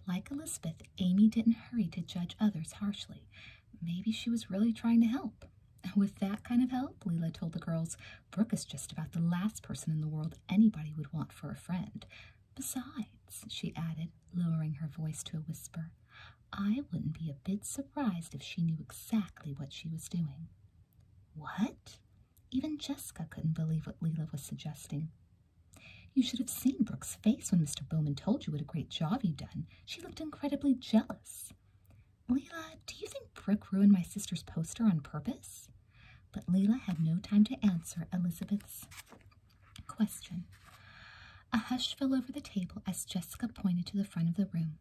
Like Elizabeth, Amy didn't hurry to judge others harshly. Maybe she was really trying to help. With that kind of help, Leela told the girls, Brooke is just about the last person in the world anybody would want for a friend. Besides, she added, lowering her voice to a whisper, I wouldn't be a bit surprised if she knew exactly what she was doing. What? Even Jessica couldn't believe what Leila was suggesting. You should have seen Brooke's face when Mr. Bowman told you what a great job you'd done. She looked incredibly jealous. Leila, do you think Brooke ruined my sister's poster on purpose? But Leela had no time to answer Elizabeth's question. A hush fell over the table as Jessica pointed to the front of the room.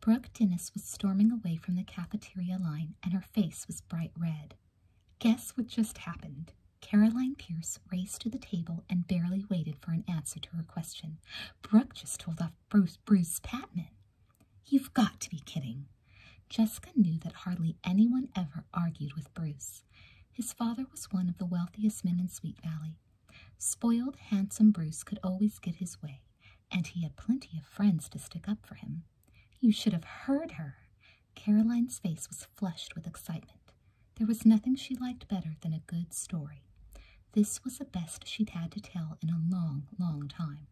Brooke Dennis was storming away from the cafeteria line, and her face was bright red. Guess what just happened? Caroline Pierce raced to the table and barely waited for an answer to her question. Brooke just told off Bruce, Bruce Patman. You've got to be kidding. Jessica knew that hardly anyone ever argued with Bruce. His father was one of the wealthiest men in Sweet Valley. Spoiled, handsome Bruce could always get his way, and he had plenty of friends to stick up for him. You should have heard her. Caroline's face was flushed with excitement. There was nothing she liked better than a good story. This was the best she'd had to tell in a long, long time.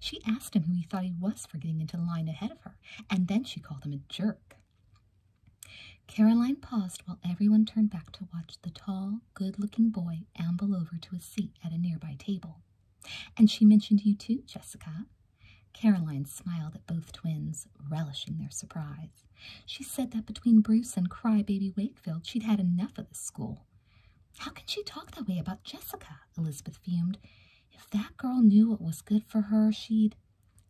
She asked him who he thought he was for getting into line ahead of her and then she called him a jerk. Caroline paused while everyone turned back to watch the tall, good looking boy amble over to a seat at a nearby table. And she mentioned you too, Jessica. Caroline smiled at both twins, relishing their surprise. She said that between Bruce and crybaby Wakefield, she'd had enough of this school. How can she talk that way about Jessica? Elizabeth fumed. If that girl knew what was good for her, she'd.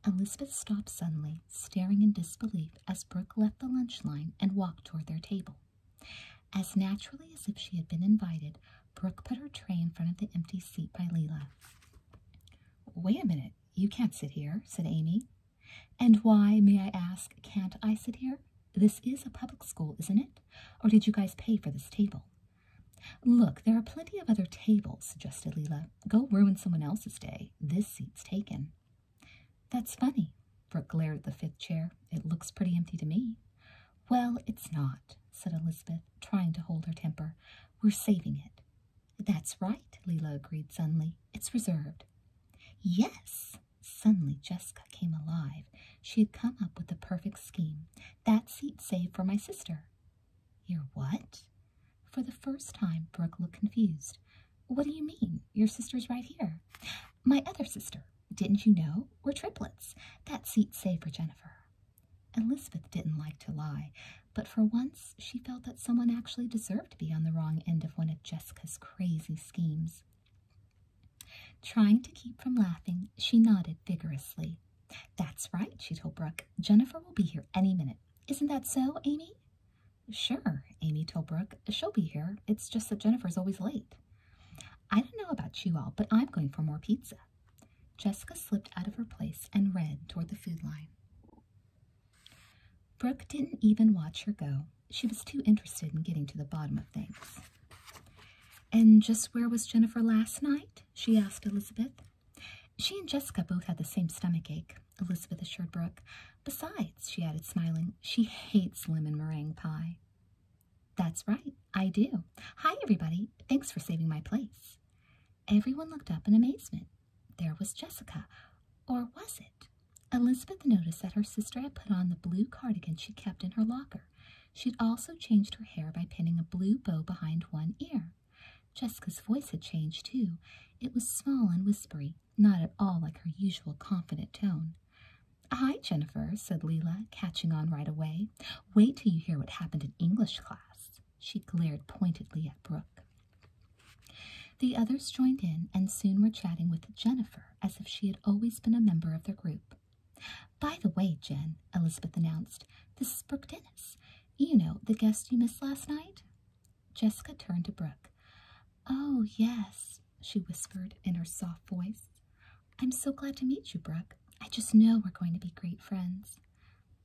Elizabeth stopped suddenly, staring in disbelief as Brooke left the lunch line and walked toward their table. As naturally as if she had been invited, Brooke put her tray in front of the empty seat by Leela. Wait a minute, you can't sit here, said Amy. And why, may I ask, can't I sit here? This is a public school, isn't it? Or did you guys pay for this table? Look, there are plenty of other tables, suggested Leela. Go ruin someone else's day. This seat's taken. That's funny, Brooke glared at the fifth chair. It looks pretty empty to me. Well, it's not, said Elizabeth, trying to hold her temper. We're saving it. That's right, Leela agreed suddenly. It's reserved. Yes! Suddenly Jessica came alive. She had come up with the perfect scheme that seat saved for my sister. Your what? For the first time, Brooke looked confused. What do you mean? Your sister's right here. My other sister. Didn't you know? We're triplets. That seat saved for Jennifer. Elizabeth didn't like to lie, but for once she felt that someone actually deserved to be on the wrong end of one of Jessica's crazy schemes. Trying to keep from laughing, she nodded vigorously. That's right, she told Brooke. Jennifer will be here any minute. Isn't that so, Amy? Sure, Amy told Brooke. She'll be here. It's just that Jennifer's always late. I don't know about you all, but I'm going for more pizza. Jessica slipped out of her place and ran toward the food line. Brooke didn't even watch her go. She was too interested in getting to the bottom of things. And just where was Jennifer last night? she asked Elizabeth. She and Jessica both had the same stomach ache, Elizabeth assured Brooke. Besides, she added, smiling, she hates lemon meringue pie. That's right, I do. Hi, everybody. Thanks for saving my place. Everyone looked up in amazement. There was Jessica. Or was it? Elizabeth noticed that her sister had put on the blue cardigan she kept in her locker. She'd also changed her hair by pinning a blue bow behind one ear. Jessica's voice had changed too. It was small and whispery, not at all like her usual confident tone. Hi, Jennifer, said Leela, catching on right away. Wait till you hear what happened in English class. She glared pointedly at Brooke. The others joined in and soon were chatting with Jennifer as if she had always been a member of their group. By the way, Jen, Elizabeth announced, this is Brooke Dennis. You know, the guest you missed last night? Jessica turned to Brooke. Oh, yes, she whispered in her soft voice. I'm so glad to meet you, Brooke. I just know we're going to be great friends.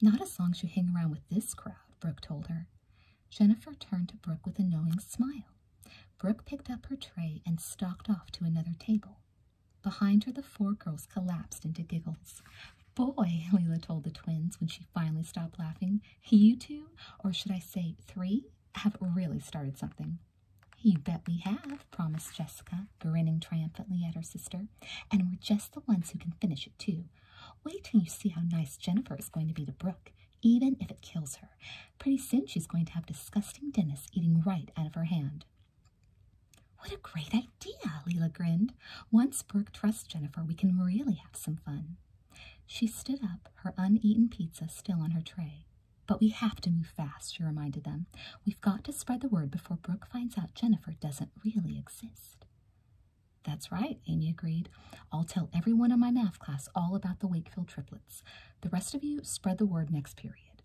Not as long as you hang around with this crowd, Brooke told her. Jennifer turned to Brooke with a knowing smile. Brooke picked up her tray and stalked off to another table. Behind her, the four girls collapsed into giggles. Boy, Leela told the twins when she finally stopped laughing, you two, or should I say three, have really started something. You bet we have, promised Jessica, grinning triumphantly at her sister. And we're just the ones who can finish it, too. Wait till you see how nice Jennifer is going to be to Brooke, even if it kills her. Pretty soon she's going to have disgusting Dennis eating right out of her hand. What a great idea, Leela grinned. Once Brooke trusts Jennifer, we can really have some fun. She stood up, her uneaten pizza still on her tray. But we have to move fast, she reminded them. We've got to spread the word before Brooke finds out Jennifer doesn't really exist. That's right, Amy agreed. I'll tell everyone in my math class all about the Wakefield triplets. The rest of you spread the word next period.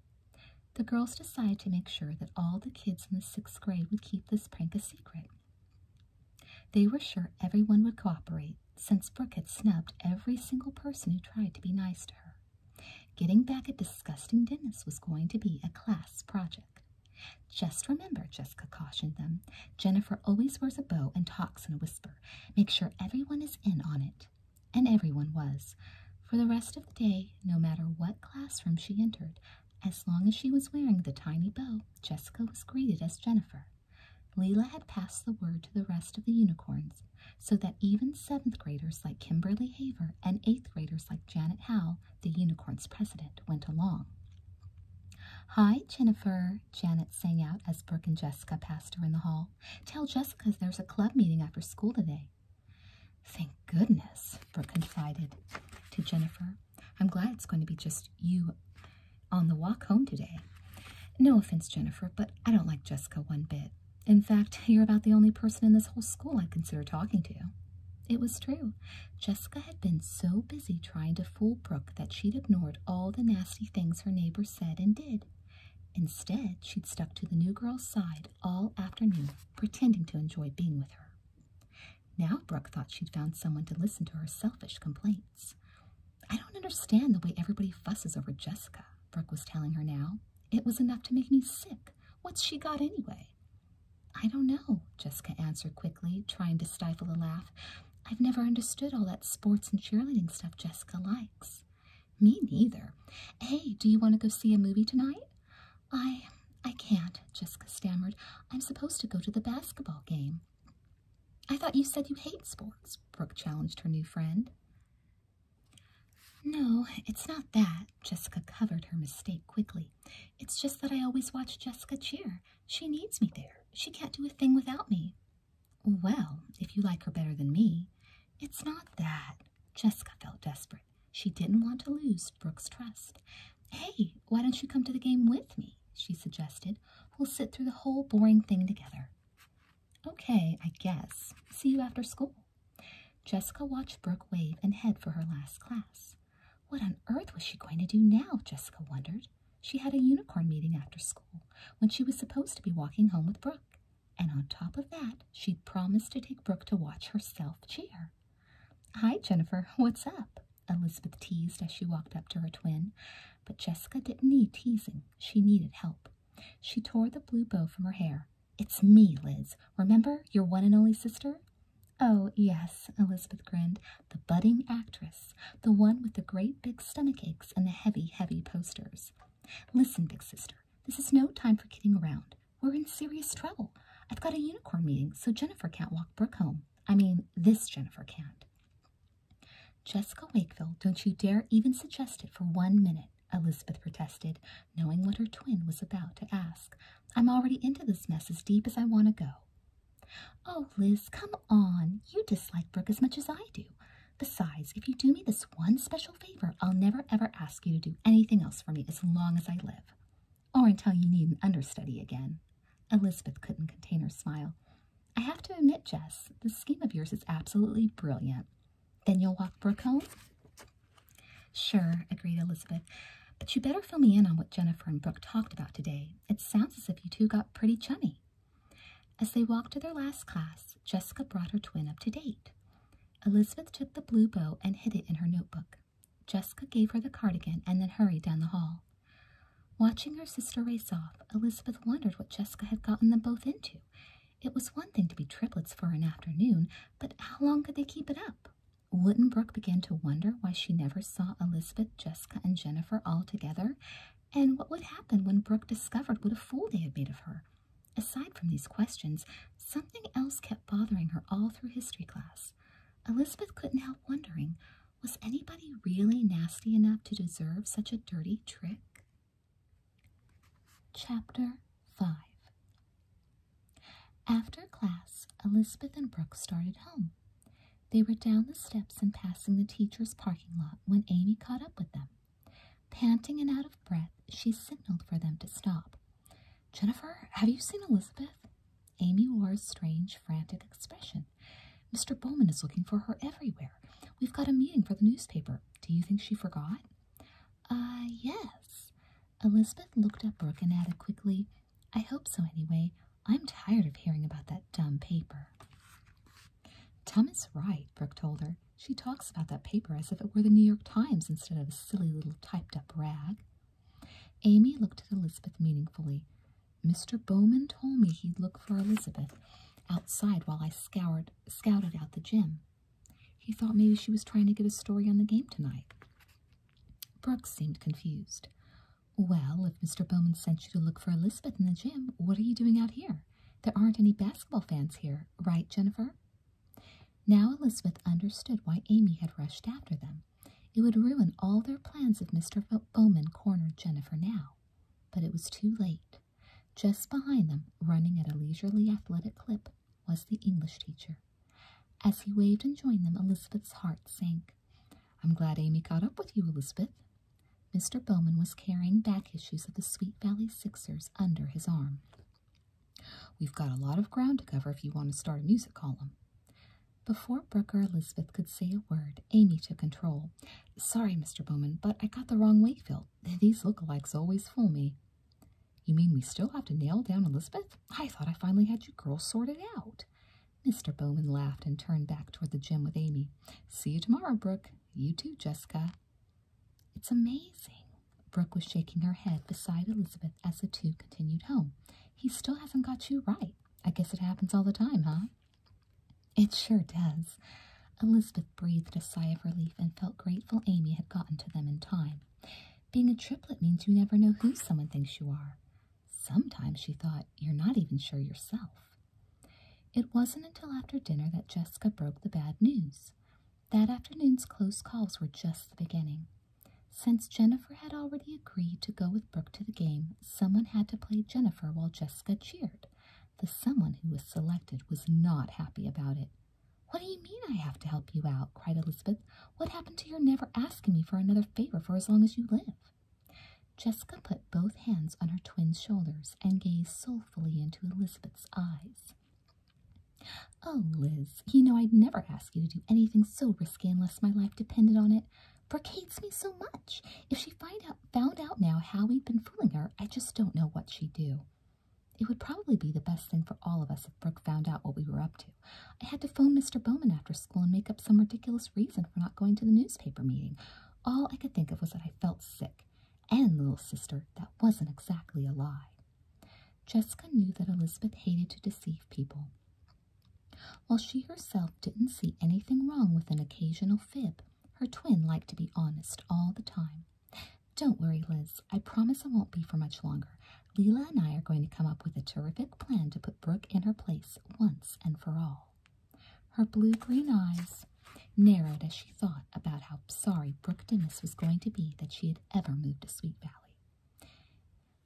The girls decided to make sure that all the kids in the sixth grade would keep this prank a secret. They were sure everyone would cooperate, since Brooke had snubbed every single person who tried to be nice to her. Getting back at disgusting Dennis was going to be a class project. Just remember, Jessica cautioned them, Jennifer always wears a bow and talks in a whisper. Make sure everyone is in on it. And everyone was. For the rest of the day, no matter what classroom she entered, as long as she was wearing the tiny bow, Jessica was greeted as Jennifer. Leela had passed the word to the rest of the unicorns so that even seventh graders like Kimberly Haver and eighth graders like Janet Hal, the unicorn's president, went along. Hi, Jennifer, Janet sang out as Brooke and Jessica passed her in the hall. Tell Jessica there's a club meeting after school today. Thank goodness, Brooke confided to Jennifer. I'm glad it's going to be just you on the walk home today. No offense, Jennifer, but I don't like Jessica one bit. In fact, you're about the only person in this whole school I'd consider talking to. It was true. Jessica had been so busy trying to fool Brooke that she'd ignored all the nasty things her neighbor said and did. Instead, she'd stuck to the new girl's side all afternoon, pretending to enjoy being with her. Now Brooke thought she'd found someone to listen to her selfish complaints. I don't understand the way everybody fusses over Jessica, Brooke was telling her now. It was enough to make me sick. What's she got anyway? I don't know, Jessica answered quickly, trying to stifle a laugh. I've never understood all that sports and cheerleading stuff Jessica likes. Me neither. Hey, do you want to go see a movie tonight? I I can't, Jessica stammered. I'm supposed to go to the basketball game. I thought you said you hate sports, Brooke challenged her new friend. No, it's not that. Jessica covered her mistake quickly. It's just that I always watch Jessica cheer. She needs me there. She can't do a thing without me. Well, if you like her better than me. It's not that. Jessica felt desperate. She didn't want to lose Brooke's trust. Hey, why don't you come to the game with me? She suggested. We'll sit through the whole boring thing together. Okay, I guess. See you after school. Jessica watched Brooke wave and head for her last class. What on earth was she going to do now? Jessica wondered. She had a unicorn meeting after school when she was supposed to be walking home with Brooke. And on top of that, she'd promised to take Brooke to watch herself cheer. Hi, Jennifer. What's up? Elizabeth teased as she walked up to her twin, but Jessica didn't need teasing. She needed help. She tore the blue bow from her hair. It's me, Liz. Remember, your one and only sister? Oh, yes, Elizabeth grinned. The budding actress, the one with the great big stomach aches and the heavy, heavy posters. Listen, big sister, this is no time for kidding around. We're in serious trouble. I've got a unicorn meeting, so Jennifer can't walk Brooke home. I mean, this Jennifer can't. Jessica Wakefield, don't you dare even suggest it for one minute, Elizabeth protested, knowing what her twin was about to ask. I'm already into this mess as deep as I want to go. Oh, Liz, come on. You dislike Brooke as much as I do. Besides, if you do me this one special favor, I'll never ever ask you to do anything else for me as long as I live or oh, until you need an understudy again. Elizabeth couldn't contain her smile. I have to admit, Jess, this scheme of yours is absolutely brilliant. Then you'll walk Brooke home? Sure, agreed Elizabeth. But you better fill me in on what Jennifer and Brooke talked about today. It sounds as if you two got pretty chummy. As they walked to their last class, Jessica brought her twin up to date. Elizabeth took the blue bow and hid it in her notebook. Jessica gave her the cardigan and then hurried down the hall. Watching her sister race off, Elizabeth wondered what Jessica had gotten them both into. It was one thing to be triplets for an afternoon, but how long could they keep it up? Wouldn't Brooke to wonder why she never saw Elizabeth, Jessica, and Jennifer all together? And what would happen when Brooke discovered what a fool they had made of her? Aside from these questions, something else kept bothering her all through history class. Elizabeth couldn't help wondering was anybody really nasty enough to deserve such a dirty trick? Chapter 5 After class, Elizabeth and Brooke started home. They were down the steps and passing the teacher's parking lot when Amy caught up with them. Panting and out of breath, she signaled for them to stop. Jennifer, have you seen Elizabeth? Amy wore a strange, frantic expression. Mr. Bowman is looking for her everywhere. We've got a meeting for the newspaper. Do you think she forgot? Ah, uh, yes. Elizabeth looked at Brooke and added quickly, I hope so anyway. I'm tired of hearing about that dumb paper. Tom is right, Brooke told her. She talks about that paper as if it were the New York Times instead of a silly little typed up rag. Amy looked at Elizabeth meaningfully. Mr. Bowman told me he'd look for Elizabeth outside while I scoured, scouted out the gym. He thought maybe she was trying to get a story on the game tonight. Brooks seemed confused. Well, if Mr. Bowman sent you to look for Elizabeth in the gym, what are you doing out here? There aren't any basketball fans here, right, Jennifer? Now Elizabeth understood why Amy had rushed after them. It would ruin all their plans if Mr. Bowman cornered Jennifer now. But it was too late. Just behind them, running at a leisurely athletic clip, was the English teacher. As he waved and joined them, Elizabeth's heart sank. I'm glad Amy caught up with you, Elizabeth. Mr. Bowman was carrying back issues of the Sweet Valley Sixers under his arm. We've got a lot of ground to cover if you want to start a music column. Before Brooke or Elizabeth could say a word, Amy took control. Sorry, Mr. Bowman, but I got the wrong Wakefield. These lookalikes always fool me. You mean we still have to nail down Elizabeth? I thought I finally had you girls sorted out. Mr. Bowman laughed and turned back toward the gym with Amy. See you tomorrow, Brooke. You too, Jessica. It's amazing. Brooke was shaking her head beside Elizabeth as the two continued home. He still hasn't got you right. I guess it happens all the time, huh? It sure does. Elizabeth breathed a sigh of relief and felt grateful Amy had gotten to them in time. Being a triplet means you never know who someone thinks you are. Sometimes, she thought, you're not even sure yourself. It wasn't until after dinner that Jessica broke the bad news. That afternoon's close calls were just the beginning. Since Jennifer had already agreed to go with Brooke to the game, someone had to play Jennifer while Jessica cheered. The someone who was selected was not happy about it. What do you mean I have to help you out? cried Elizabeth. What happened to your never asking me for another favor for as long as you live? Jessica put both hands on her twin's shoulders and gazed soulfully into Elizabeth's eyes. Oh, Liz, you know I'd never ask you to do anything so risky unless my life depended on it hates me so much. If she find out, found out now how we had been fooling her, I just don't know what she'd do. It would probably be the best thing for all of us if Brooke found out what we were up to. I had to phone Mr. Bowman after school and make up some ridiculous reason for not going to the newspaper meeting. All I could think of was that I felt sick. And, little sister, that wasn't exactly a lie. Jessica knew that Elizabeth hated to deceive people. While she herself didn't see anything wrong with an occasional fib, her twin liked to be honest all the time. Don't worry, Liz. I promise I won't be for much longer. Leela and I are going to come up with a terrific plan to put Brooke in her place once and for all. Her blue green eyes narrowed as she thought about how sorry Brooke Dennis was going to be that she had ever moved to Sweet Valley.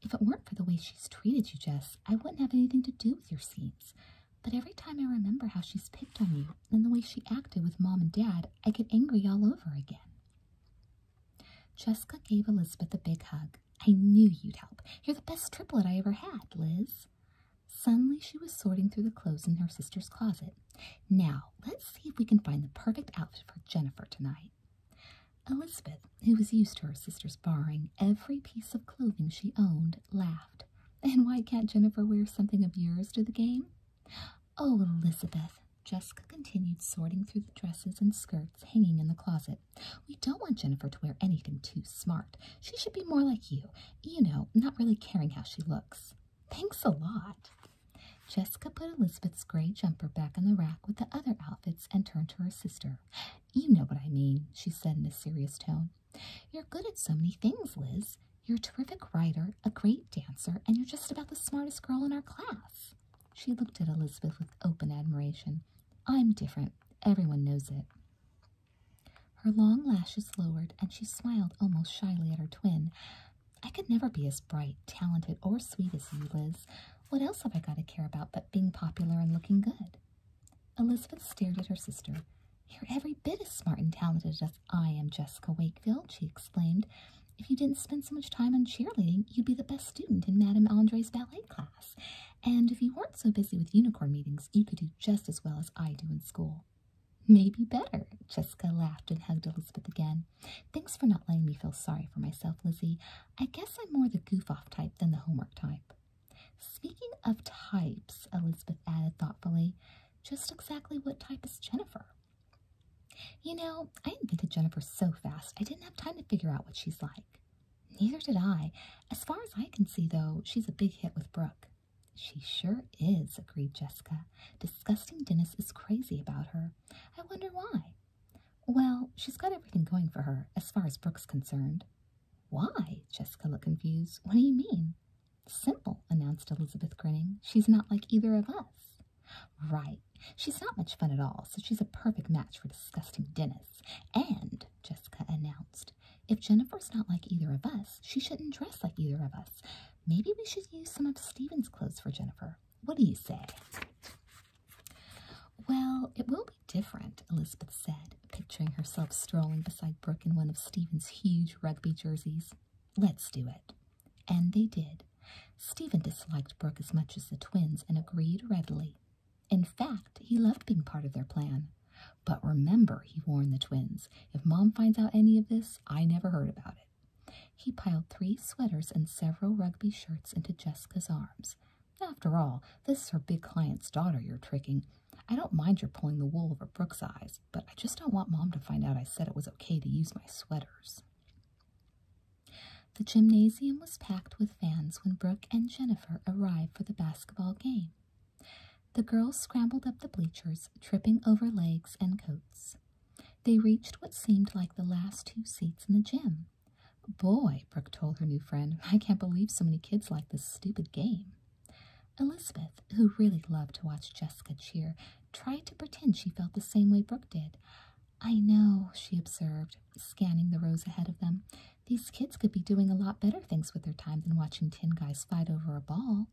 If it weren't for the way she's treated you, Jess, I wouldn't have anything to do with your seams. But every time I remember how she's picked on you and the way she acted with Mom and Dad, I get angry all over again. Jessica gave Elizabeth a big hug. I knew you'd help. You're the best triplet I ever had, Liz. Suddenly, she was sorting through the clothes in her sister's closet. Now, let's see if we can find the perfect outfit for Jennifer tonight. Elizabeth, who was used to her sister's borrowing every piece of clothing she owned, laughed. And why can't Jennifer wear something of yours to the game? Oh, Elizabeth, Jessica continued sorting through the dresses and skirts hanging in the closet. We don't want Jennifer to wear anything too smart. She should be more like you, you know, not really caring how she looks. Thanks a lot. Jessica put Elizabeth's gray jumper back on the rack with the other outfits and turned to her sister. You know what I mean, she said in a serious tone. You're good at so many things, Liz. You're a terrific writer, a great dancer, and you're just about the smartest girl in our class. She looked at Elizabeth with open admiration. I'm different. Everyone knows it. Her long lashes lowered, and she smiled almost shyly at her twin. I could never be as bright, talented, or sweet as you, Liz. What else have I got to care about but being popular and looking good? Elizabeth stared at her sister. You're every bit as smart and talented as I am, Jessica Wakefield, she exclaimed. If you didn't spend so much time on cheerleading, you'd be the best student in Madame Andre's ballet class. And if you weren't so busy with unicorn meetings, you could do just as well as I do in school. Maybe better, Jessica laughed and hugged Elizabeth again. Thanks for not letting me feel sorry for myself, Lizzie. I guess I'm more the goof-off type than the homework type. Speaking of types, Elizabeth added thoughtfully, just exactly what type is Jennifer? You know, I invented Jennifer so fast I didn't have time to figure out what she's like. Neither did I. As far as I can see, though, she's a big hit with Brooke. She sure is, agreed Jessica. Disgusting Dennis is crazy about her. I wonder why. Well, she's got everything going for her, as far as Brooke's concerned. Why? Jessica looked confused. What do you mean? Simple, announced Elizabeth, grinning. She's not like either of us. Right. She's not much fun at all, so she's a perfect match for disgusting Dennis. And, Jessica announced, if Jennifer's not like either of us, she shouldn't dress like either of us. Maybe we should use some of Steven's clothes for Jennifer. What do you say? Well, it will be different, Elizabeth said, picturing herself strolling beside Brooke in one of Stephen's huge rugby jerseys. Let's do it. And they did. Stephen disliked Brooke as much as the twins and agreed readily. In fact, he loved being part of their plan. But remember, he warned the twins, if Mom finds out any of this, I never heard about it. He piled three sweaters and several rugby shirts into Jessica's arms, after all, this is her big client's daughter you're tricking. I don't mind your pulling the wool over Brooke's eyes, but I just don't want Mom to find out I said it was okay to use my sweaters. The gymnasium was packed with fans when Brooke and Jennifer arrived for the basketball game. The girls scrambled up the bleachers, tripping over legs and coats. They reached what seemed like the last two seats in the gym. Boy, Brooke told her new friend, I can't believe so many kids like this stupid game. Elizabeth, who really loved to watch Jessica cheer, tried to pretend she felt the same way Brooke did. I know, she observed, scanning the rows ahead of them. These kids could be doing a lot better things with their time than watching ten guys fight over a ball.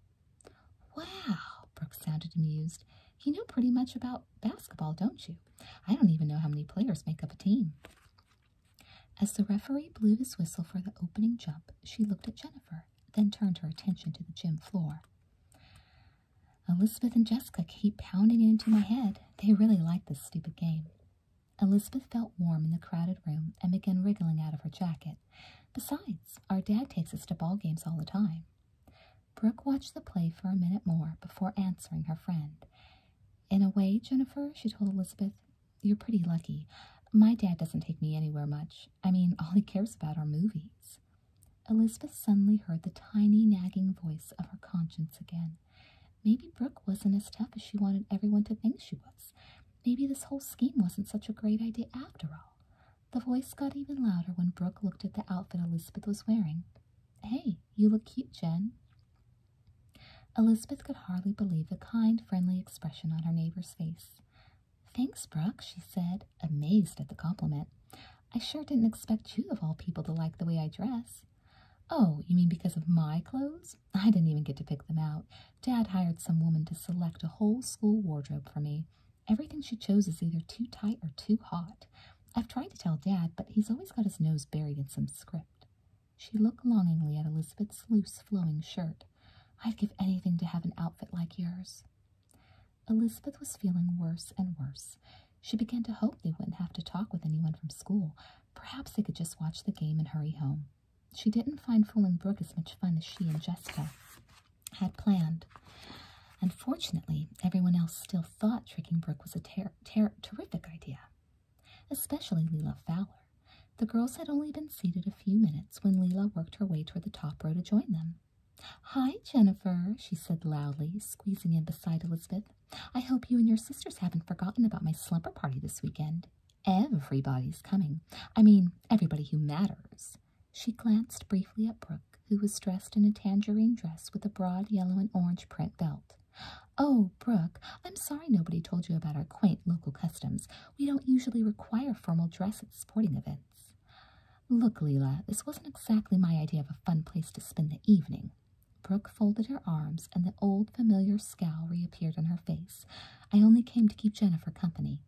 Wow, Brooke sounded amused. You know pretty much about basketball, don't you? I don't even know how many players make up a team. As the referee blew his whistle for the opening jump, she looked at Jennifer, then turned her attention to the gym floor. Elizabeth and Jessica keep pounding it into my head. They really like this stupid game. Elizabeth felt warm in the crowded room and began wriggling out of her jacket. Besides, our dad takes us to ball games all the time. Brooke watched the play for a minute more before answering her friend. In a way, Jennifer, she told Elizabeth, you're pretty lucky. My dad doesn't take me anywhere much. I mean, all he cares about are movies. Elizabeth suddenly heard the tiny, nagging voice of her conscience again. Maybe Brooke wasn't as tough as she wanted everyone to think she was. Maybe this whole scheme wasn't such a great idea after all. The voice got even louder when Brooke looked at the outfit Elizabeth was wearing. Hey, you look cute, Jen. Elizabeth could hardly believe the kind, friendly expression on her neighbor's face. Thanks, Brooke, she said, amazed at the compliment. I sure didn't expect you, of all people, to like the way I dress. Oh, you mean because of my clothes? I didn't even get to pick them out. Dad hired some woman to select a whole school wardrobe for me. Everything she chose is either too tight or too hot. I've tried to tell Dad, but he's always got his nose buried in some script. She looked longingly at Elizabeth's loose flowing shirt. I'd give anything to have an outfit like yours. Elizabeth was feeling worse and worse. She began to hope they wouldn't have to talk with anyone from school. Perhaps they could just watch the game and hurry home. She didn't find fooling Brooke as much fun as she and Jessica had planned. Unfortunately, everyone else still thought tricking Brooke was a terrific idea especially Leila Fowler. The girls had only been seated a few minutes when Leila worked her way toward the top row to join them. Hi, Jennifer, she said loudly, squeezing in beside Elizabeth. I hope you and your sisters haven't forgotten about my slumber party this weekend. Everybody's coming. I mean, everybody who matters. She glanced briefly at Brooke, who was dressed in a tangerine dress with a broad yellow and orange print belt. Oh, Brooke, I'm sorry nobody told you about our quaint local customs. We don't usually require formal dress at sporting events. Look, Leela, this wasn't exactly my idea of a fun place to spend the evening. Brooke folded her arms, and the old familiar scowl reappeared on her face. I only came to keep Jennifer company.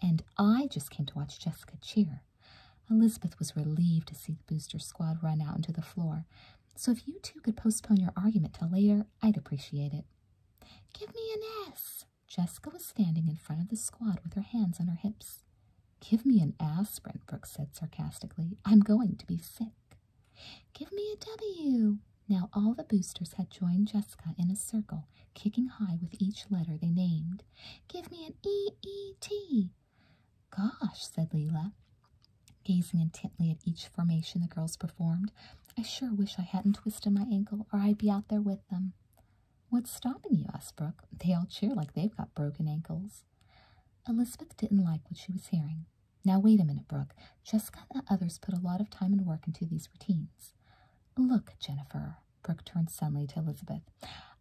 And I just came to watch Jessica cheer. Elizabeth was relieved to see the booster squad run out onto the floor. So if you two could postpone your argument till later, I'd appreciate it. Give me an S. Jessica was standing in front of the squad with her hands on her hips. Give me an aspirin, Brooks said sarcastically. I'm going to be sick. Give me a W. Now all the boosters had joined Jessica in a circle, kicking high with each letter they named. Give me an E-E-T. Gosh, said Leela. Gazing intently at each formation the girls performed, I sure wish I hadn't twisted my ankle or I'd be out there with them. What's stopping you? asked Brooke. They all cheer like they've got broken ankles. Elizabeth didn't like what she was hearing. Now, wait a minute, Brooke. Jessica and the others put a lot of time and work into these routines. Look, Jennifer, Brooke turned suddenly to Elizabeth.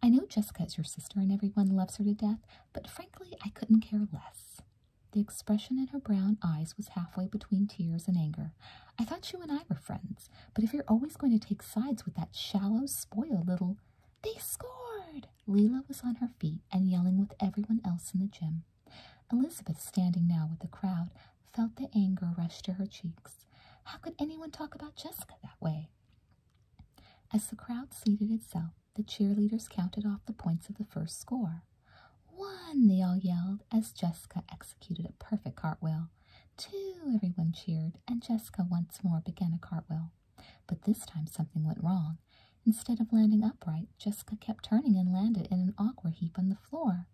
I know Jessica is your sister and everyone loves her to death, but frankly, I couldn't care less. The expression in her brown eyes was halfway between tears and anger. I thought you and I were friends, but if you're always going to take sides with that shallow, spoiled little. They scored! Leela was on her feet and yelling with everyone else in the gym. Elizabeth, standing now with the crowd, felt the anger rush to her cheeks. How could anyone talk about Jessica that way? As the crowd seated itself, the cheerleaders counted off the points of the first score. One, they all yelled as Jessica executed a perfect cartwheel. Two, everyone cheered, and Jessica once more began a cartwheel. But this time something went wrong. Instead of landing upright, Jessica kept turning and landed in an awkward heap on the floor.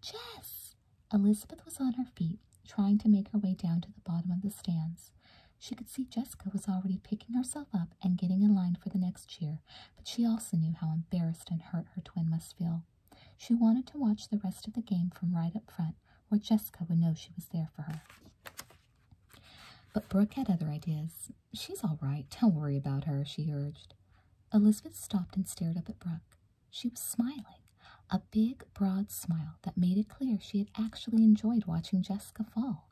Jess! Elizabeth was on her feet, trying to make her way down to the bottom of the stands. She could see Jessica was already picking herself up and getting in line for the next cheer but she also knew how embarrassed and hurt her twin must feel. She wanted to watch the rest of the game from right up front, where Jessica would know she was there for her. But Brooke had other ideas. She's all right. Don't worry about her, she urged. Elizabeth stopped and stared up at Brooke. She was smiling, a big, broad smile that made it clear she had actually enjoyed watching Jessica fall.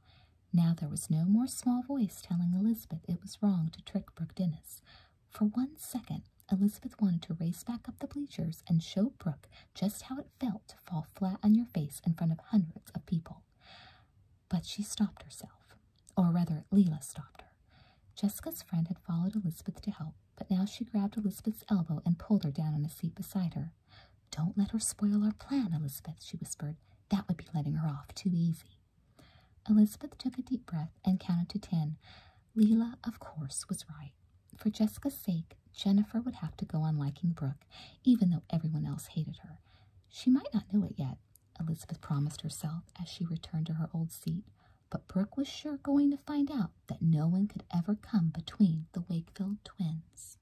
Now there was no more small voice telling Elizabeth it was wrong to trick Brooke Dennis. For one second, Elizabeth wanted to race back up the bleachers and show Brooke just how it felt to fall flat on your face in front of hundreds of people. But she stopped herself, or rather, Leila stopped her. Jessica's friend had followed Elizabeth to help, but now she grabbed Elizabeth's elbow and pulled her down on a seat beside her. Don't let her spoil our plan, Elizabeth, she whispered. That would be letting her off too easy. Elizabeth took a deep breath and counted to ten. Leila, of course, was right. For Jessica's sake, Jennifer would have to go on liking Brooke, even though everyone else hated her. She might not know it yet, Elizabeth promised herself as she returned to her old seat, but Brooke was sure going to find out that no one could ever come between the Wakefield twins.